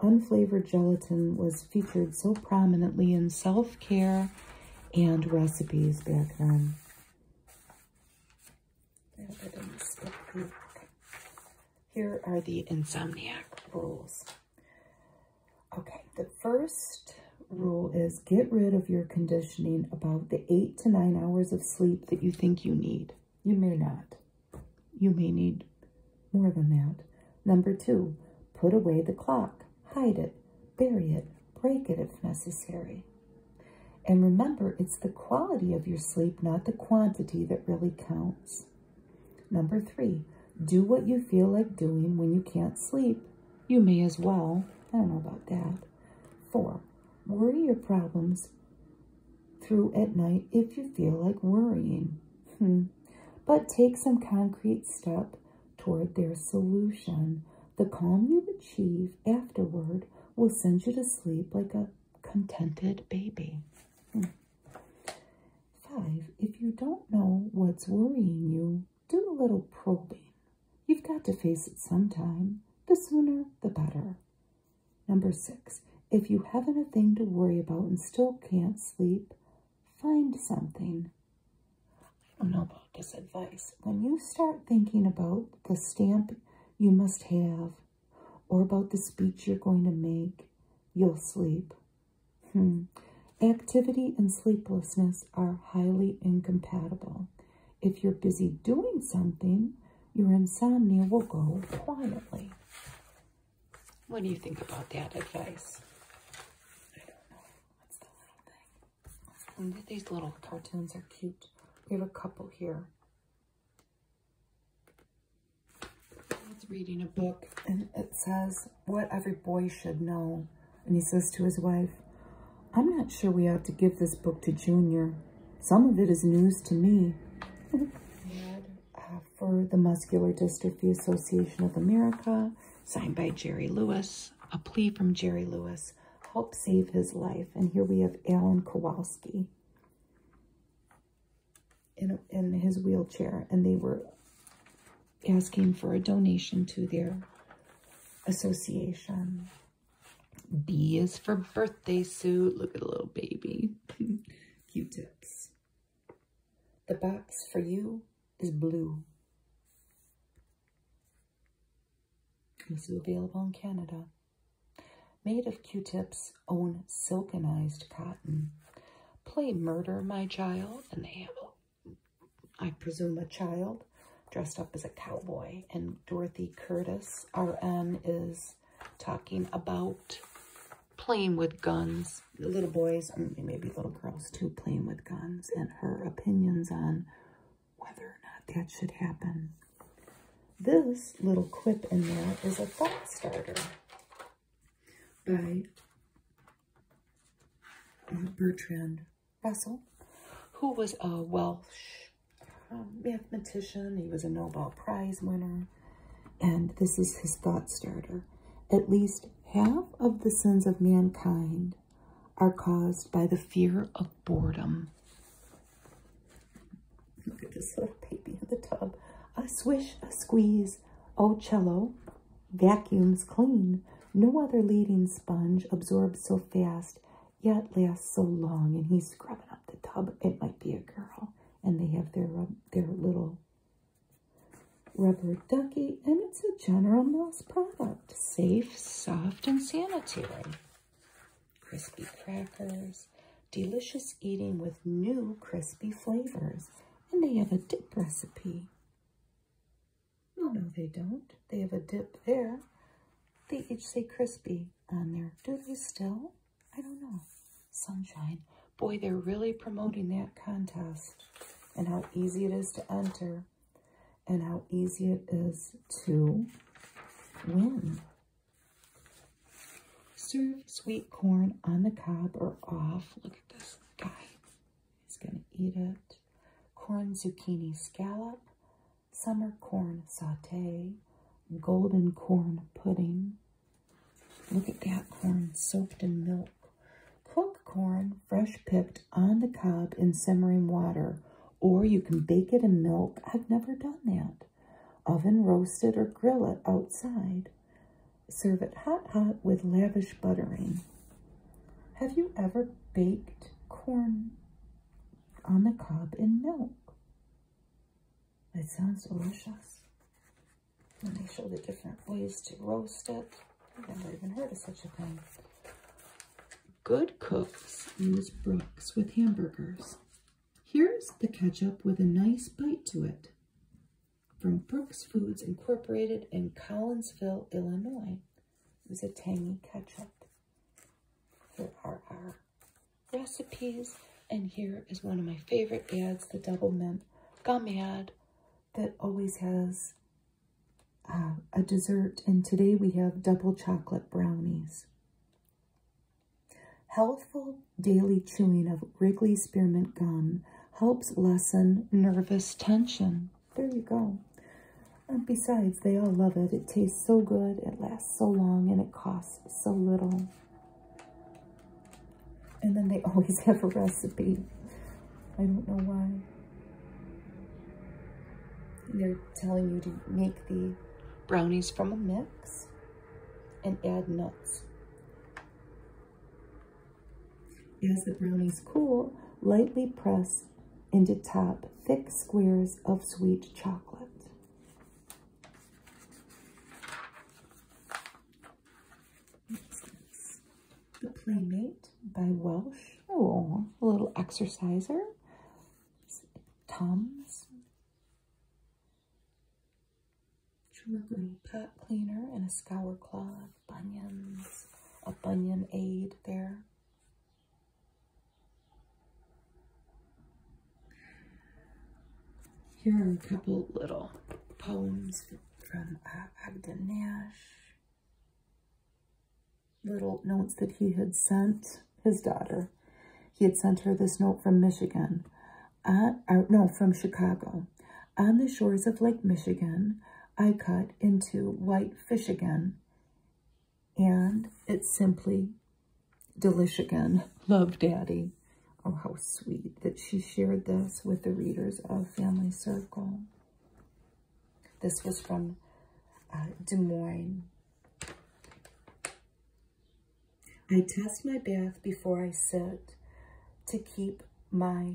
unflavored gelatin was featured so prominently in self-care and recipes back then. Here are the insomniac rules. Okay, the first rule is get rid of your conditioning about the eight to nine hours of sleep that you think you need. You may not. You may need more than that. Number two, put away the clock. Hide it, bury it, break it if necessary. And remember, it's the quality of your sleep, not the quantity, that really counts. Number three, do what you feel like doing when you can't sleep. You may as well. I don't know about that. Four, worry your problems through at night if you feel like worrying. Hmm. But take some concrete step toward their solution. The calm you achieve relief afterward will send you to sleep like a contented baby. Hmm. Five, if you don't know what's worrying you, do a little probing. You've got to face it sometime. The sooner, the better. Number six, if you haven't a thing to worry about and still can't sleep, find something. I don't know about this advice. When you start thinking about the stamp you must have, or about the speech you're going to make, you'll sleep. Hmm. Activity and sleeplessness are highly incompatible. If you're busy doing something, your insomnia will go quietly. What do you think about that advice? these little cartoons are cute. We have a couple here. It's reading a book and it says what every boy should know. And he says to his wife, I'm not sure we ought to give this book to Junior. Some of it is news to me. Uh, for the Muscular Dystrophy Association of America, signed by Jerry Lewis. A plea from Jerry Lewis help save his life. And here we have Alan Kowalski in, in his wheelchair. And they were asking for a donation to their association. B is for birthday suit. Look at the little baby. Q-tips. The box for you is blue also available in Canada. Made of Q-Tip's own silkenized cotton. Play murder, my child, and they have, a, I presume, a child dressed up as a cowboy. And Dorothy Curtis, RN, is talking about playing with guns. Little boys, maybe little girls too, playing with guns. And her opinions on whether or not that should happen. This little clip in there is a thought starter by uh, Bertrand Russell, who was a Welsh um, mathematician. He was a Nobel Prize winner. And this is his thought starter. At least half of the sins of mankind are caused by the fear of boredom. Look at this little baby in the tub. A swish, a squeeze. Oh, cello vacuums clean. No other leading sponge absorbs so fast, yet lasts so long. And he's scrubbing up the tub. It might be a girl. And they have their, their little rubber ducky. And it's a General Mills product. Safe, soft, and sanitary crispy crackers, delicious eating with new crispy flavors. And they have a dip recipe. No, no, they don't. They have a dip there. They each say crispy on there. Do they still? I don't know. Sunshine. Boy, they're really promoting that contest and how easy it is to enter and how easy it is to win. Serve sweet corn on the cob or off. Look at this guy. He's going to eat it. Corn zucchini scallop, summer corn saute, golden corn pudding. Look at that corn soaked in milk. Cook corn fresh picked on the cob in simmering water or you can bake it in milk. I've never done that. Oven roast it or grill it outside. Serve it hot, hot with lavish buttering. Have you ever baked corn on the cob in milk? That sounds delicious. And they show the different ways to roast it. I've never even heard of such a thing good cooks use Brooks with hamburgers. Here's the ketchup with a nice bite to it from Brooks Foods Incorporated in Collinsville, Illinois. It was a tangy ketchup. Here are our recipes, and here is one of my favorite ads, the Double Mint Gum ad that always has uh, a dessert, and today we have double chocolate brownies. Healthful daily chewing of Wrigley Spearmint Gum helps lessen nervous tension. There you go. And besides, they all love it. It tastes so good, it lasts so long, and it costs so little. And then they always have a recipe. I don't know why. They're telling you to make the brownies from a mix and add nuts. As the brownies cool, lightly press into top thick squares of sweet chocolate. The Playmate by Welsh. Oh, a little exerciser. Toms. True Glue Pot Cleaner and a Scour cloth. Bunions, a Bunion Aid there. Here are a couple little poems from uh, Agda Nash. Little notes that he had sent his daughter. He had sent her this note from Michigan, uh, no, from Chicago. On the shores of Lake Michigan, I cut into white fish again, and it's simply delish again. Love, Daddy. Oh, how sweet that she shared this with the readers of Family Circle. This was from uh, Des Moines. I test my bath before I sit to keep my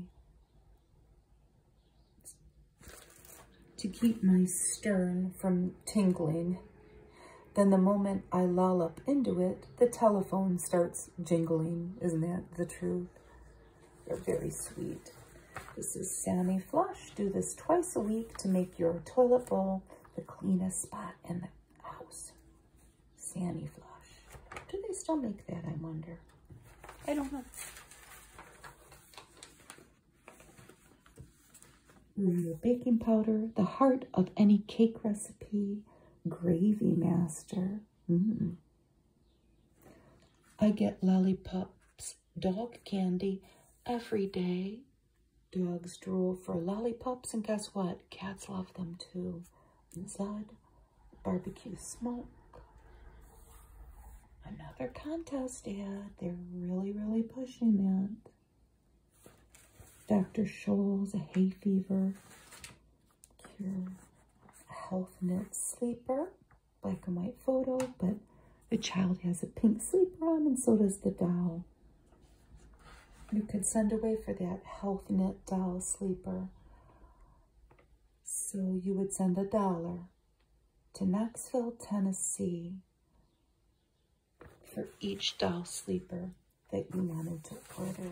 to keep my stern from tingling. Then the moment I lollop into it, the telephone starts jingling. Isn't that the truth? They're very sweet. This is Sammy Flush. Do this twice a week to make your toilet full the cleanest spot in the house. Sandy Flush. Do they still make that, I wonder? I don't know. Mm, baking powder, the heart of any cake recipe, Gravy Master. I get lollipops, dog candy every day. Dogs drool for lollipops, and guess what? Cats love them too. Zud, barbecue smoke. Another contest ad. They're really, really pushing that. Dr. Scholl's a hay fever cure. Health Knit sleeper, black and white photo, but the child has a pink sleeper on and so does the doll. You could send away for that health Net doll sleeper. So you would send a dollar to Knoxville, Tennessee for each doll sleeper that you wanted to order.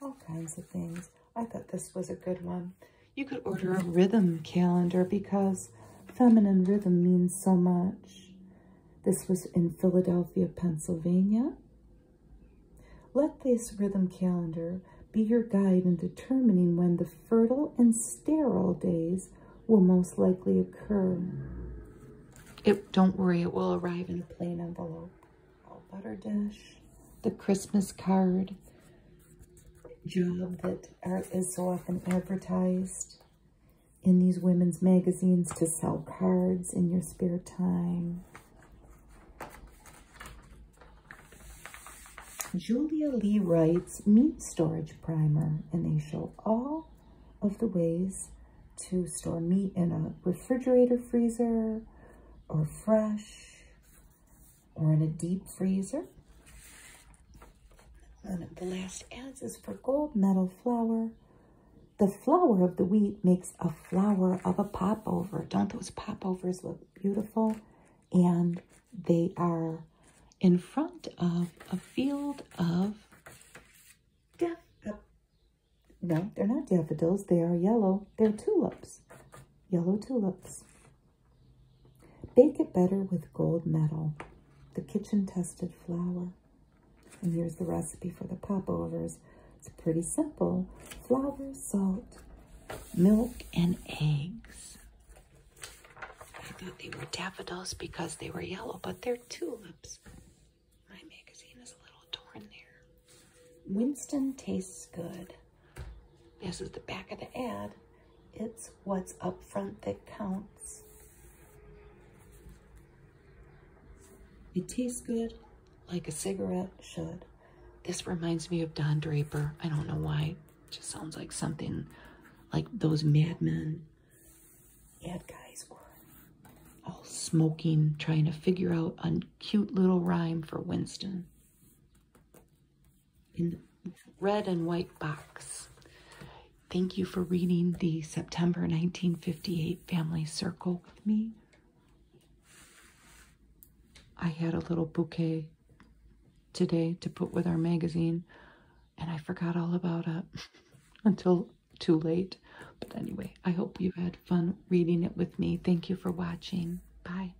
All kinds of things. I thought this was a good one. You could order a rhythm calendar because feminine rhythm means so much. This was in Philadelphia, Pennsylvania. Let this rhythm calendar be your guide in determining when the fertile and sterile days will most likely occur. It, don't worry, it will arrive in a plain envelope. A butter dish, the Christmas card, job that is so often advertised in these women's magazines to sell cards in your spare time. Julia Lee writes meat storage primer and they show all of the ways to store meat in a refrigerator freezer or fresh or in a deep freezer. And the last ads is for gold medal flower. The flower of the wheat makes a flower of a popover. Don't those popovers look beautiful? And they are in front of a field of daff no, they're not daffodils. They are yellow. They're tulips. Yellow tulips. Bake it better with gold metal, the kitchen tested flour. And here's the recipe for the popovers. It's pretty simple. Flour, salt, milk, and eggs. I thought they were daffodils because they were yellow, but they're tulips. My magazine is a little torn there. Winston tastes good. This is the back of the ad. It's what's up front that counts. It tastes good, like a cigarette should. This reminds me of Don Draper. I don't know why. It just sounds like something like those madmen ad guys were. All smoking, trying to figure out a cute little rhyme for Winston in red and white box. Thank you for reading the September 1958 Family Circle with me. I had a little bouquet today to put with our magazine, and I forgot all about it until too late. But anyway, I hope you had fun reading it with me. Thank you for watching. Bye.